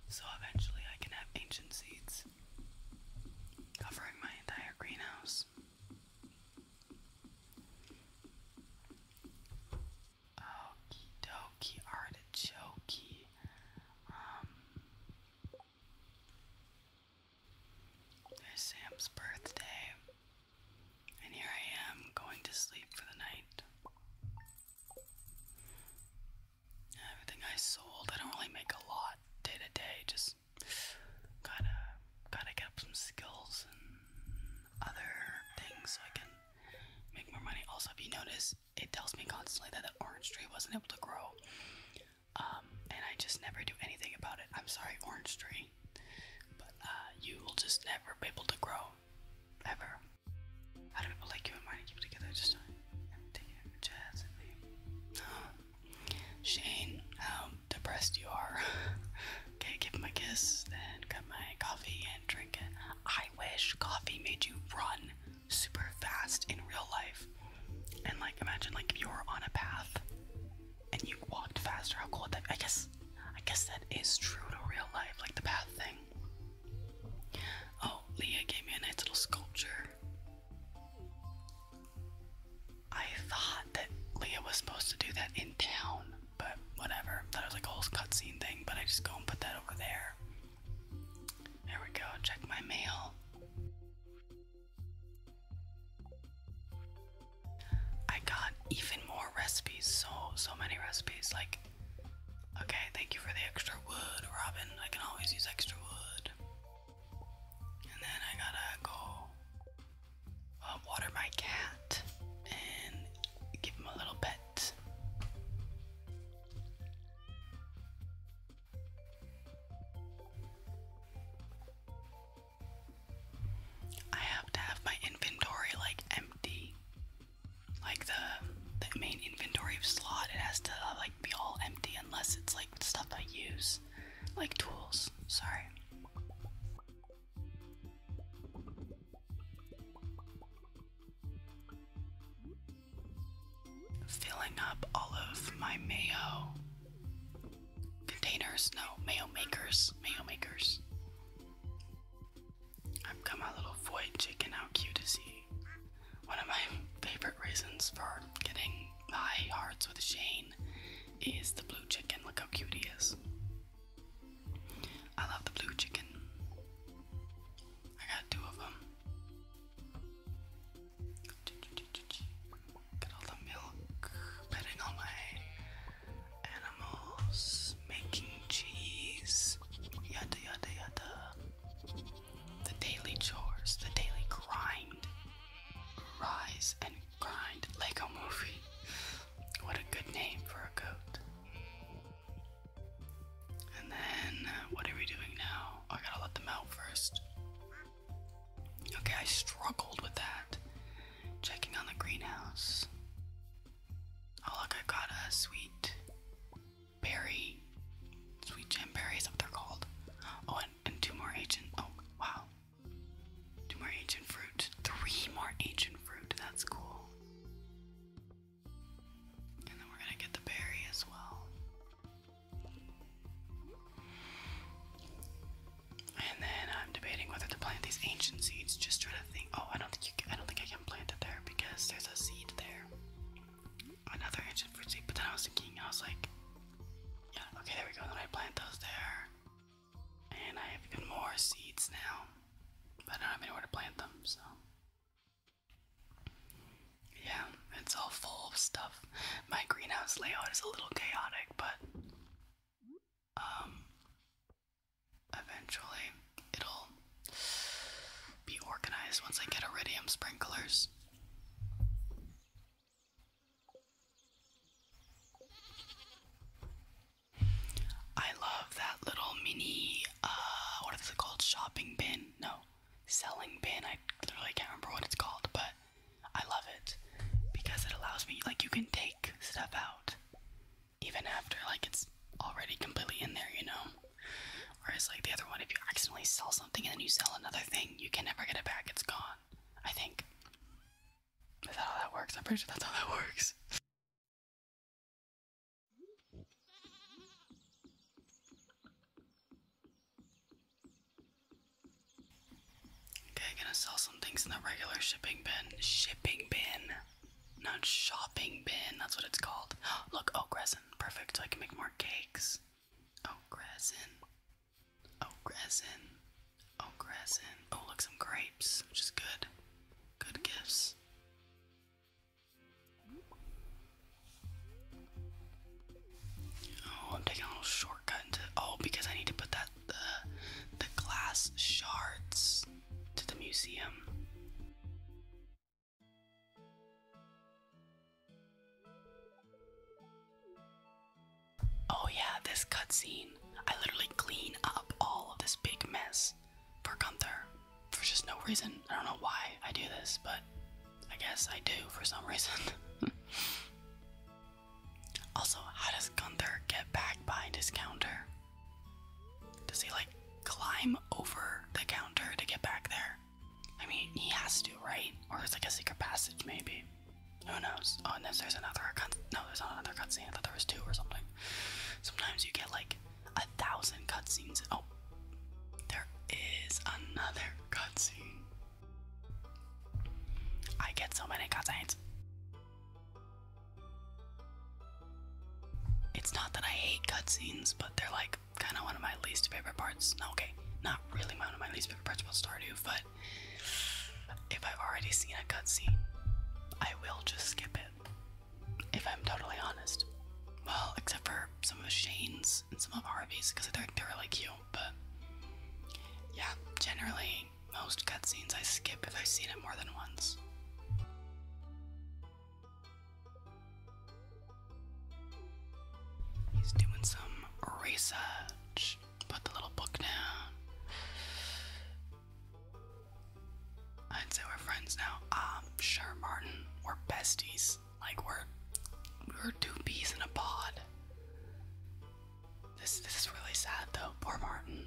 A: So eventually I can have ancient seeds covering my entire greenhouse. Okie dokie artichoke. Um, there's Sam's birthday, and here I am going to sleep for the night everything I sold. I don't really make a lot day to day. Just gotta gotta get up some skills and other things so I can make more money. Also, if you notice, it tells me constantly that the orange tree wasn't able to grow, um, and I just never do anything about it. I'm sorry, orange tree, but uh, you will just never be able to grow, ever. How do people like you and mine keep together? Just. Shane, how depressed you are. okay, give him a kiss and cut my coffee and drink it. I wish coffee made you run super fast in real life. And like, imagine like you were on a path and you walked faster. How cool that? I guess, I guess that is true to real life, like the path thing. Oh, Leah gave me a nice little sculpture I thought that Leah was supposed to do that in town, but whatever. That was like a whole cutscene thing, but I just go and put that over there. There we go, check my mail. I got even more recipes, so so many recipes. Like, okay, thank you for the extra wood, Robin. I can always use extra wood. And then I gotta go uh, water my cat and give him a little pet. I have to have my inventory like empty. Like the main inventory slot, it has to uh, like be all empty unless it's like stuff I use, like tools. Sorry. Filling up all of my mayo containers. No, mayo makers. Mayo makers. I've got my little void chicken. How cute is he? One of my favorite reasons for getting high hearts with Shane is the blue chicken. Look how cute he is. I love the blue chicken. I got two of them. Get all the milk, petting all my animals, making cheese, yada yada yada the daily chores, the daily grind. Rise and grind, Lego Movie. What a good name for a goat. And then, uh, what are we doing now? Oh, I gotta let them out first. Okay, I struggled with that. Checking on the greenhouse. Oh, look, i got a sweet berry, sweet gem berries, what they're called. Oh, and, two more ancient. Oh, wow. Two more ancient fruit. Three more ancient fruit. That's cool. And then we're gonna get the berry as well. And then I'm debating whether to plant these ancient seeds. Just trying to think. Oh, I don't think I don't think I can plant it there because there's a seed there another ancient fruit seed, but then I was thinking, I was like, yeah, okay, there we go. then I plant those there. And I have even more seeds now. But I don't have anywhere to plant them, so. Yeah, it's all full of stuff. My greenhouse layout is a little chaotic, but um, eventually it'll be organized once I get iridium sprinklers. I love that little mini, uh, what is it called? Shopping bin? No, selling bin. I literally can't remember what it's called, but I love it because it allows me, like, you can take stuff out even after, like, it's already completely in there, you know? Whereas like the other one, if you accidentally sell something and then you sell another thing, you can never get it back. It's gone. I think. Is that how that works? I'm
B: pretty sure that's how
A: that works. Okay, gonna sell some things in the regular shipping bin. Shipping bin, not shopping bin. That's what it's called. Look, oak oh, perfect. So I can make more cakes. Oh, Crescent. Oh, Crescent. Oh, Crescent. Oh, look, some grapes, which is good. Good gifts. Oh, I'm taking a little shortcut into. Oh, because I need to put that the the glass shards to the museum. Oh, yeah, this cutscene. I literally clean up all of this big mess for Gunther for just no reason. I don't know why I do this, but I guess I do for some reason. also, how does Gunther get back behind his counter? Does he like climb over the counter to get back there? I mean, he has to, right? Or it's like a secret passage, maybe. Who knows? Oh, and there's another No, there's not another cutscene. I thought there was two or something. Sometimes you get like a thousand cutscenes. Oh, there is another cutscene. I get so many cutscenes. It's not that I hate cutscenes, but they're like kind of one of my least favorite parts. No, okay, not really one of my least favorite parts about Two. but if I've already seen a cutscene, I will just skip it. If I'm totally honest. Well, except for some of the Shane's and some of the Harvey's, because they're they're really cute. But yeah, generally most cutscenes I skip if I've seen it more than once. He's doing some research. Put the little book down. I'd say we're friends now. Um, sure, Martin. We're besties. Like we're we're two bees in a pod. This this is really sad though. Poor Martin.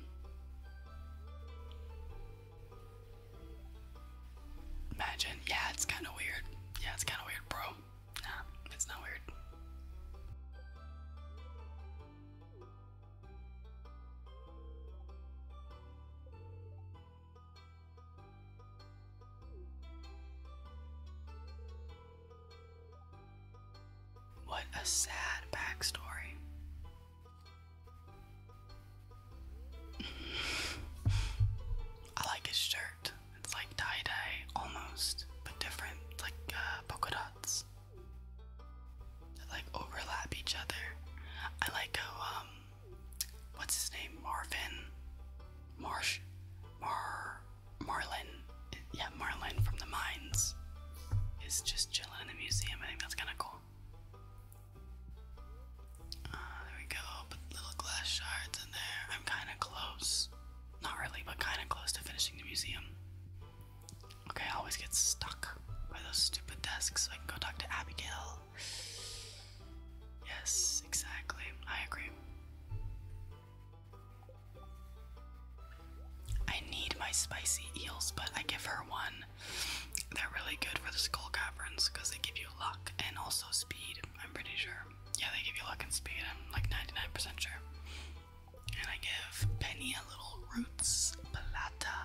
A: Imagine. Yeah, it's kind of weird. Yeah, it's kind of weird, bro. Nah, it's not weird. What a sad backstory. I like his shirt. It's like tie dye almost, but different. like uh, polka dots that like overlap each other. I like how um, what's his name? Marvin, Marsh, Mar, Marlin. Yeah, Marlin from the mines is just chilling in the museum. I think that's kind of cool. Uh, there we go. Put little glass shards in there. I'm kind of close. Not really, but kind of close to finishing the museum. Okay, I always get stuck by those stupid desks. So I can go talk to Abigail. Yes, exactly. I agree. I need my spicy eels, but I give her one. They're really good for the school caverns because they give you luck and also speed, I'm pretty sure. Yeah, they give you luck and speed. I'm like 99% sure. And I give Penny a little roots plata.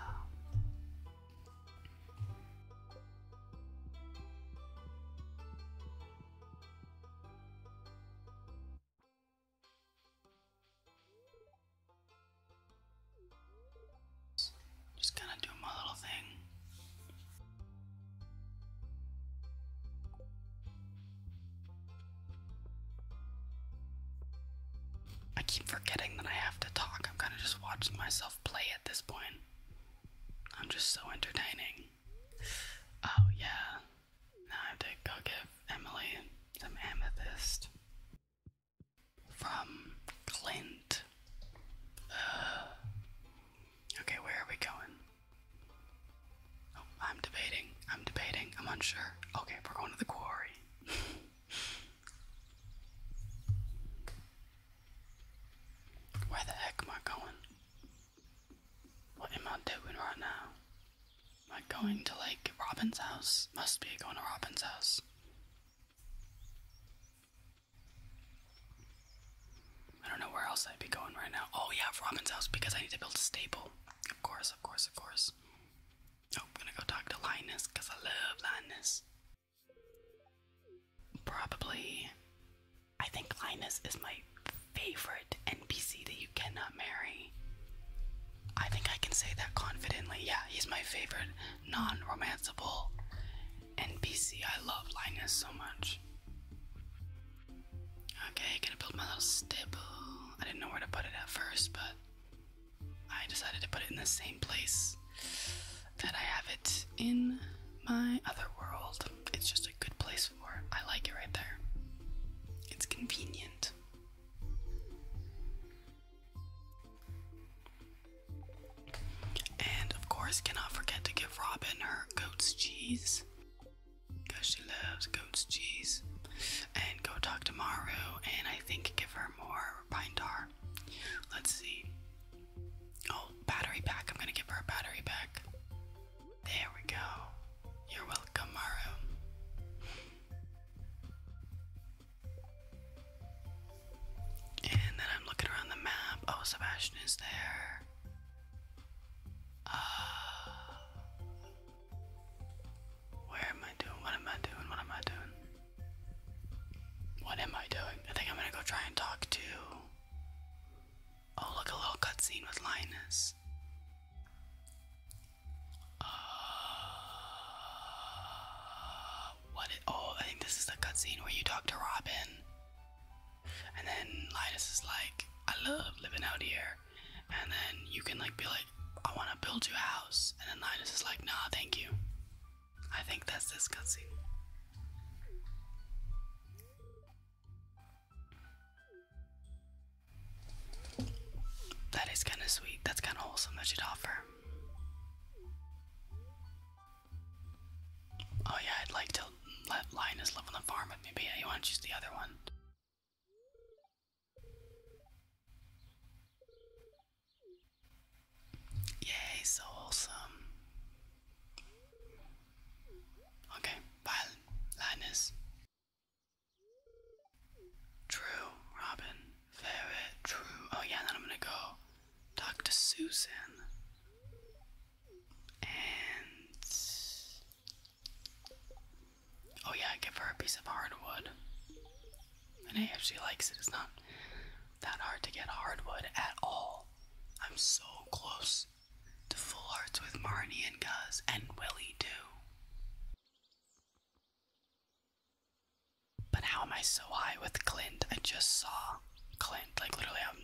B: Just gonna do my little thing.
A: I keep forgetting that I have to talk. I'm kind of just watching myself play at this point. I'm just so entertaining. Oh, yeah. Now I have to go give Emily some amethyst from Clint. okay, where are we going? Oh, I'm debating. I'm debating. I'm unsure. Okay, we're going to the quarry. Where the heck am I going? What am I doing right now? Am I going to like Robin's house? Must be going to Robin's house. I don't know where else I'd be going right now. Oh yeah, Robin's house because I need to build a stable. Of course, of course, of course. Oh, gonna go talk to Linus because I love Linus. Probably, I think Linus is my favorite NPC that you cannot marry. I think I can say that confidently. Yeah, he's my favorite non romancable NPC. I love Linus so much. Okay, gonna build my little stable. I didn't know where to put it at first, but I decided to put it in the same place that I have it in my other world. It's just a good place for it. I like it right there. It's convenient. And of course, cannot forget to give Robin her goat's cheese because she loves goat's cheese. And go talk to Maru and I think give her more pine tar. Let's see. Oh, battery pack. I'm gonna give her a battery pack. There we go. You're welcome, Maru. And then I'm looking around the map. Oh, Sebastian is there. Uh, where am I doing? What am I doing? What am I doing? What am I doing? I think I'm gonna go try and talk to. Oh, look, a little cutscene with Linus. Uh, what? oh, I think this is the cutscene where you talk to Robin. And then Linus is like, I love living out here. And then you can like be like, I want to build you a house. And then Linus is like, Nah, thank you. I think that's this cutscene. That is kind of sweet. That's kind of wholesome that you'd offer. Oh yeah, I'd like to I'll let Linus live on the farm with but yeah, you want to choose the other one. Yay, so wholesome. Okay, bye, Linus. True, Robin. Very true. Oh, yeah, then I'm gonna go talk to And Oh yeah, give her a piece of hardwood. And hey, if she likes it, it's not that hard to get hardwood at all. I'm so close to full hearts with Marnie and Guz and Willie too. But how am I so high with Clint? I just saw Clint, like literally I'm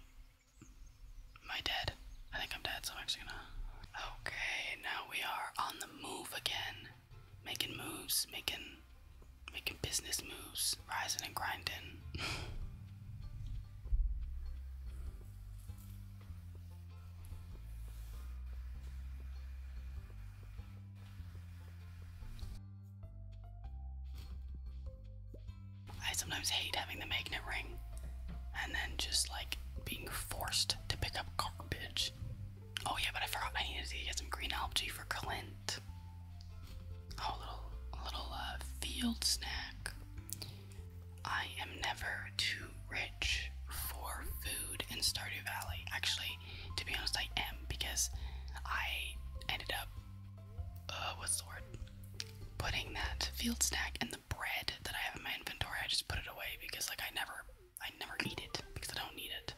A: Am I dead? I think I'm dead, so I'm actually gonna. Okay, now we are on the move again. Making moves, making making business moves, rising and grinding. I sometimes hate having the magnet ring and then just like being forced to pick up garbage. Oh yeah, but I forgot I needed to get some green algae for Clint. Oh, little, little uh, field snack. I am never too rich for food in Stardew Valley. Actually, to be honest, I am because I ended up, uh, what's the word? Putting that field snack in the bread that I have in my inventory, I just put it away because like I never I never eat it because I don't need it.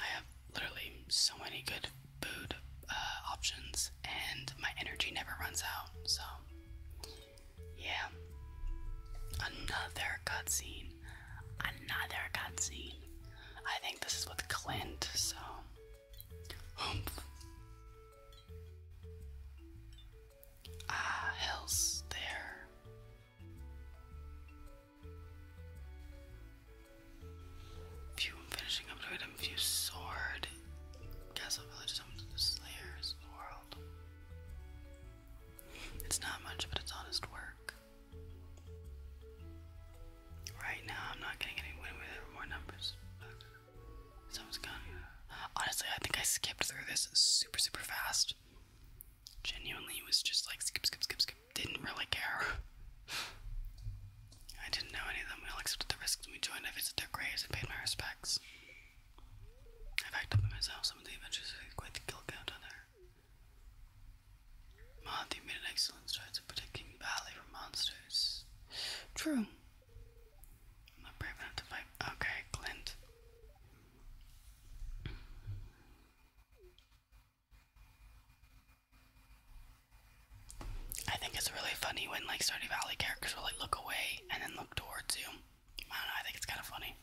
A: I have literally so many good food uh, options and my energy never runs out. So yeah. Another cutscene. Another cutscene. I think this is with Clint, so Ah, hell's there. View finishing up to it and sword. Castle Village is home to the Slayers of the world. It's not much, but it's honest work. Right now, I'm not getting any win with more numbers. Honestly, I think I skipped through this super, super fast. Genuinely it was just like skip, skip, skip, skip. Didn't really care. I didn't know any of them. We all accepted the risks when we joined. I visited their graves and paid my respects. I backed up by myself some of the adventures were quite the kill count on there. Mahathi made an excellent strides in protecting valley from monsters. True i Okay, Clint. I think it's really funny when like Stardew Valley characters will like look away and then look towards you. I don't know, I think it's kind of funny.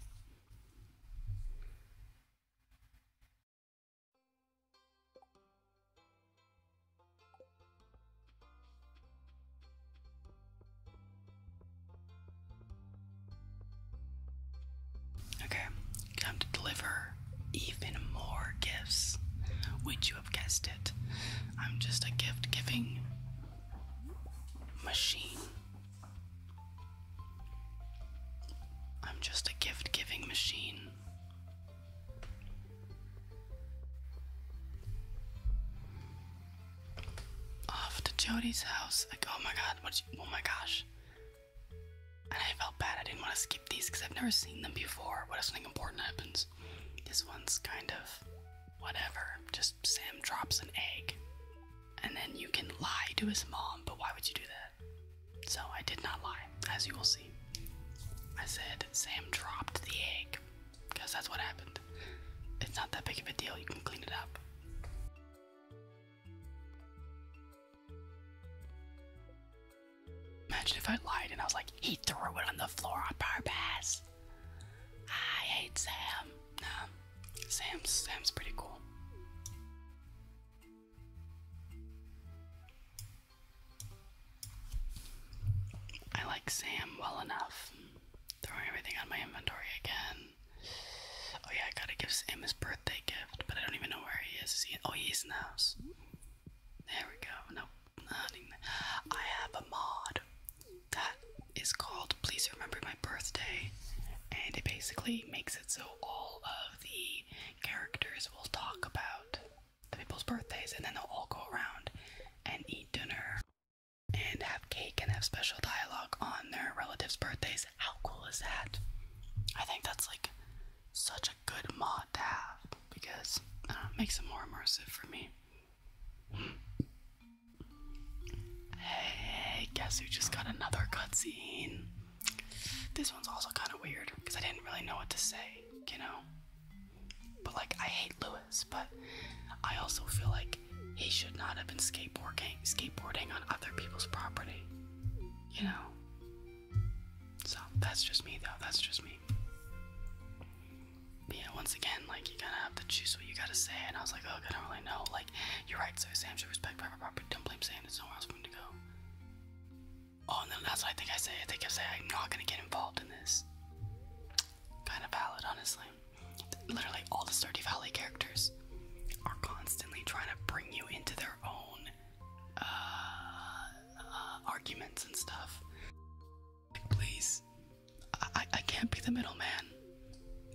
A: Okay, time to deliver even more gifts. Would you have guessed it? I'm just a gift giving machine. I'm just a gift giving machine off to Jody's house. Like, oh my god, what? oh my gosh. And I felt bad. I didn't want to skip these because I've never seen them before. But if something important happens? This one's kind of whatever. Just Sam drops an egg, and then you can lie to his mom. But why would you do that? So I did not lie, as you will see. I said Sam dropped the egg, because that's what happened. It's not that big of a deal, you can clean it up. Imagine if I lied and I was like, he threw it on the floor on purpose. I hate Sam. Nah, Sam's Sam's pretty cool. I like Sam well enough. Throwing everything on my inventory again. Oh yeah, I gotta give him his birthday gift, but I don't even know where he is. oh, he's in the house. There we go. No, I have a mod that is called "Please Remember My Birthday," and it basically makes it so all of the characters will talk about the people's birthdays, and then they'll all go around and eat dinner and have cake and have special dialogue on their relatives' birthdays. How cool is that? I think that's like such a good mod to have because it makes it more immersive for me. Hey, guess who just got another cutscene? This one's also kind of weird because I didn't really know what to say, you know? But like, I hate Louis but I also feel like he should not have been skateboarding skateboarding on other people's property. You know? So that's just me though, that's just me. yeah, once again, like you gotta have to choose what you gotta say, and I was like, okay, I don't really know. Like, you're right, so Sam should respect private property. Don't blame Sam, It's nowhere else for him to go. Oh, and then that's what I think I say. I think I say I'm not gonna get involved in this. Kind of valid, honestly. Literally, all the Stardew Valley characters are constantly trying to bring you into their own uh, uh, arguments and stuff. Like, please, I, I can't be the middleman.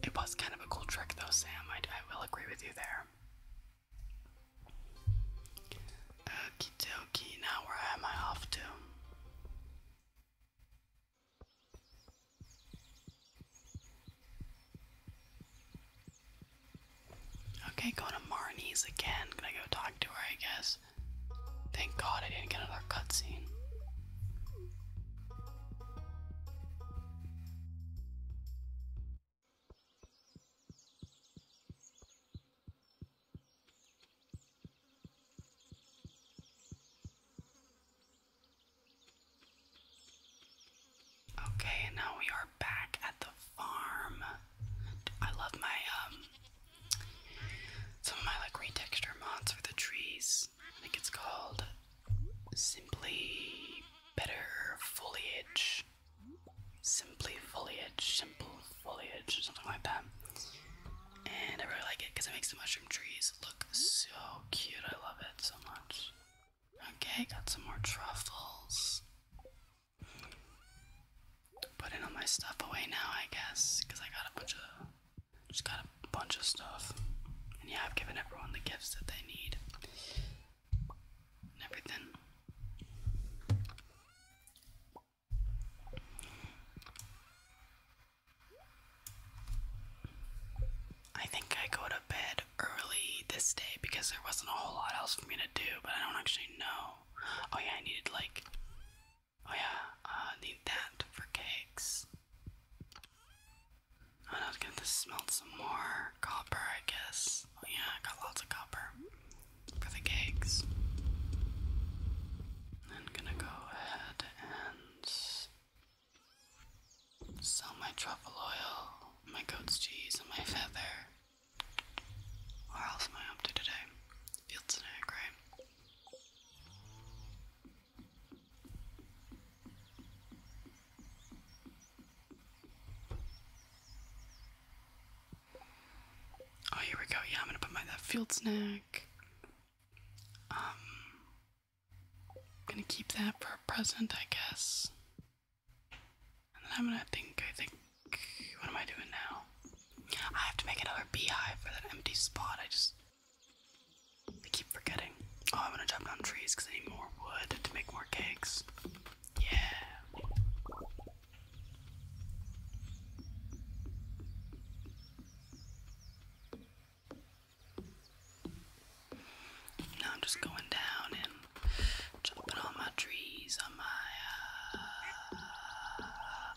A: It was kind of a cool trick, though, Sam. I, I will agree with you there. Okie dokie, now where am I off to? Okay, going to Marnie's again. Gonna go talk to her, I guess. Thank God I didn't get another cutscene. Okay, and now we are back at the farm. I love my um some of my like retexture mods for the trees. I think it's called Simply Better Foliage. Simply foliage, simple foliage, something like that. And I really like it because it makes the mushroom trees look so cute. I love it so much. Okay, got some more truffles. Putting all my stuff away now, I guess, because I got a bunch of just got a bunch of stuff. And yeah, I've given everyone the gifts that they need. And everything. I think I go to bed early this day because there wasn't a whole lot else for me to do, but I don't actually know. Oh yeah, I needed like oh yeah, uh need that for cakes. I am gonna have to smelt some more copper, I guess. Oh yeah, I got lots of copper for the cakes. I'm gonna go ahead and Sell my truffle oil, my goat's cheese, and my feather. Or else am I today? Fields and right? Oh, here we go. Yeah, I'm gonna put my that field snack. Um, I'm gonna keep that for a present, I guess. And I'm gonna think, I think, what am I doing now? I have to make another beehive for that empty spot. I just keep forgetting. Oh, I'm to chop down trees because I need more wood to make more cakes. Yeah. Now I'm just going down and chopping all my trees on my. Uh,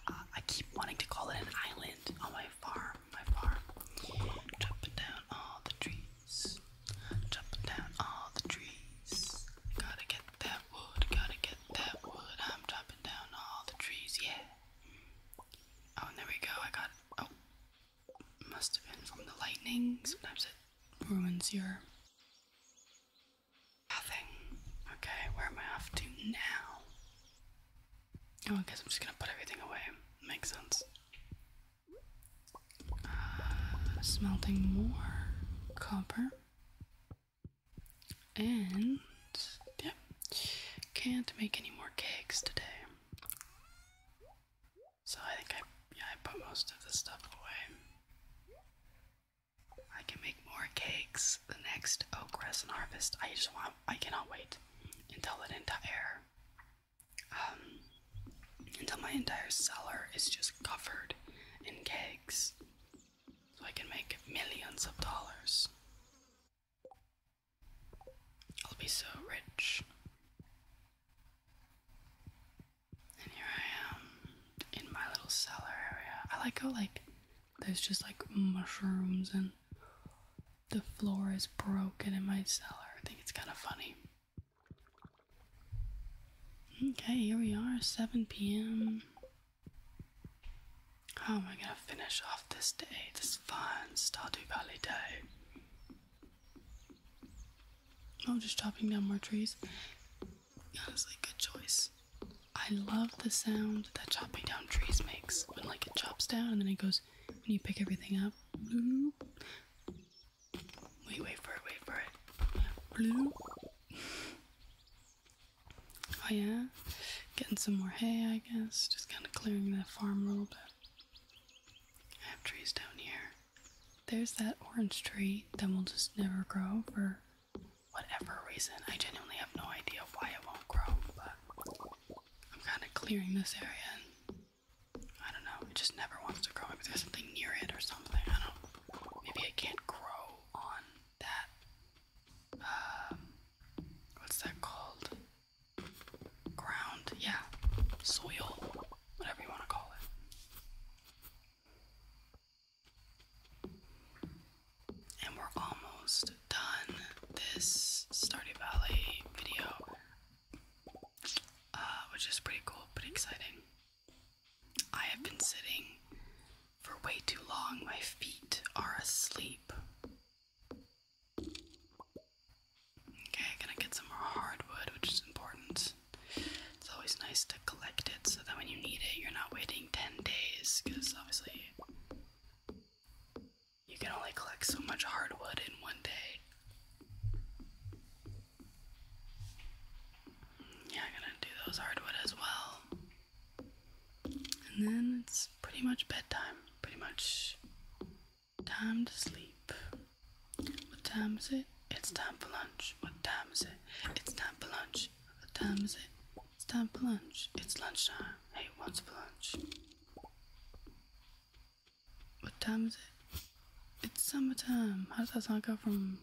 A: uh, I keep wanting to call it an island on my farm. My farm. Chopping down all the trees. Chopping down all the trees. Gotta get that wood. Gotta get that wood. I'm chopping down all the trees. Yeah. Oh, there we go. I got. Oh, must have been from the lightning. Sometimes it ruins your nothing. Okay, where am I off to now? Oh, I guess I'm just gonna put everything away. Makes sense. Uh, smelting more copper. And, yep, can't make any more cakes today. So I think I I put most of the stuff away. I can make more cakes the next oak resin harvest. I just want I cannot wait until an entire um, until my entire cellar is just covered in cakes. So I can make millions of dollars. I'll be so rich. And here I am in my little cellar area. I like how like there's just like mushrooms and the floor is broken in my cellar. I think it's kind of funny. Okay, here we are, 7 p.m. How am I gonna finish off this day, this fun Stardew Valley day? I'm just chopping down more trees. a good choice. I love the sound that chopping down trees makes when like it chops down and then it goes when you pick everything up. Wait, wait for it, wait for it. Oh yeah. Getting some more hay, I guess. Just kind of clearing that farm a little bit. I have trees down here. There's that orange tree that will just never grow for whatever reason. I genuinely have no idea why it won't grow, but I'm kind of clearing this area and I don't know, it just never wants to grow. Maybe there's something near it or something. I don't Maybe it can't grow on that. Um, what's that called? ground, yeah, soil, whatever you want to call it. And we're almost done this Stardew Valley video, uh, which is pretty cool, pretty exciting. I have been sitting for way too long, my feet are asleep. Okay, gonna get some more hardwood, which is important. It's always nice to collect it so that when you need it, you're not waiting 10 days, because obviously you can only collect so much hardwood in one day. Yeah, gonna do those hardwood as well. And then it's pretty much bedtime. Pretty much Time to sleep. What time is it? It's time for lunch. What time is it? It's time for lunch. What time is it? It's time for lunch. It's lunchtime. Hey, what's for lunch? What time is it? It's summertime. How does that song go from?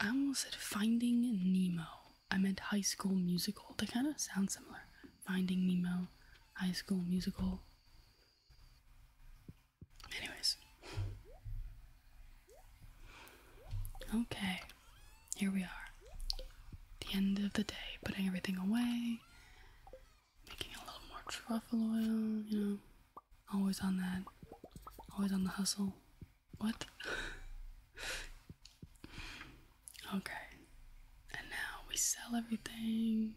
A: I almost said Finding Nemo. I meant High School Musical. They kind of sound similar. Finding Nemo, High School Musical. Anyways. Okay, here we are. The end of the day, putting everything away, making a little more truffle oil, you know. Always on that, always on the hustle. What? Okay, and now we sell everything.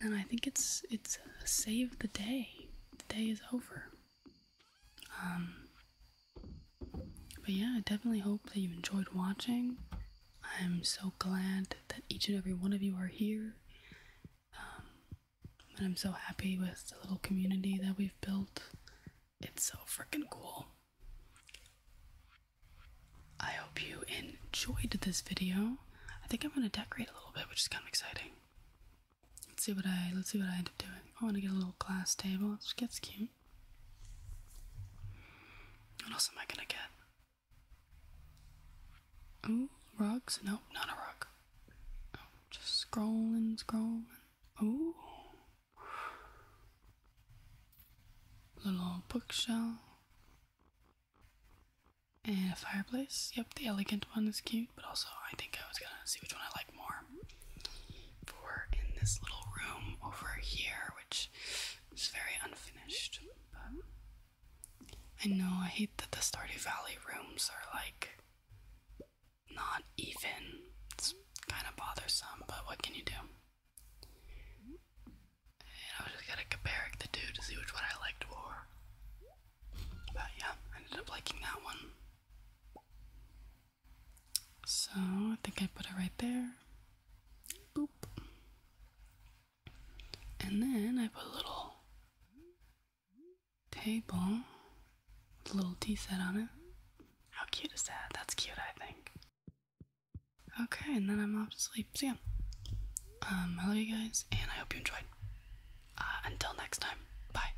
A: And I think it's it's uh, save the day. The day is over. Um, but yeah, I definitely hope that you enjoyed watching. I'm so glad that each and every one of you are here. Um, and I'm so happy with the little community that we've built. It's so freaking cool. I hope you enjoyed this video. I think I'm gonna decorate a little bit, which is kind of exciting. Let's see what I let's see what I end up doing. I want to get a little glass table, which gets cute. What else am I gonna get? Ooh, rugs? No, not a rug. Oh, just scrolling, scrolling. Ooh, little bookshelf and a fireplace. Yep, the elegant one is cute, but also I think I was gonna see which one I like more. For in this little room over here, which is very unfinished, but I know I hate that the Stardew Valley rooms are like not even. It's kind of bothersome, but what can you do? And I was just kind of comparing the two to see which one I liked more. But yeah, I ended up liking that one. So I think I put it right there. Boop. And then I put a little table with a little tea set on it. How cute is that? That's cute, I think. Okay, and then I'm off to sleep. See ya. Um, I love you guys, and I hope you enjoyed. Uh, until next time, bye.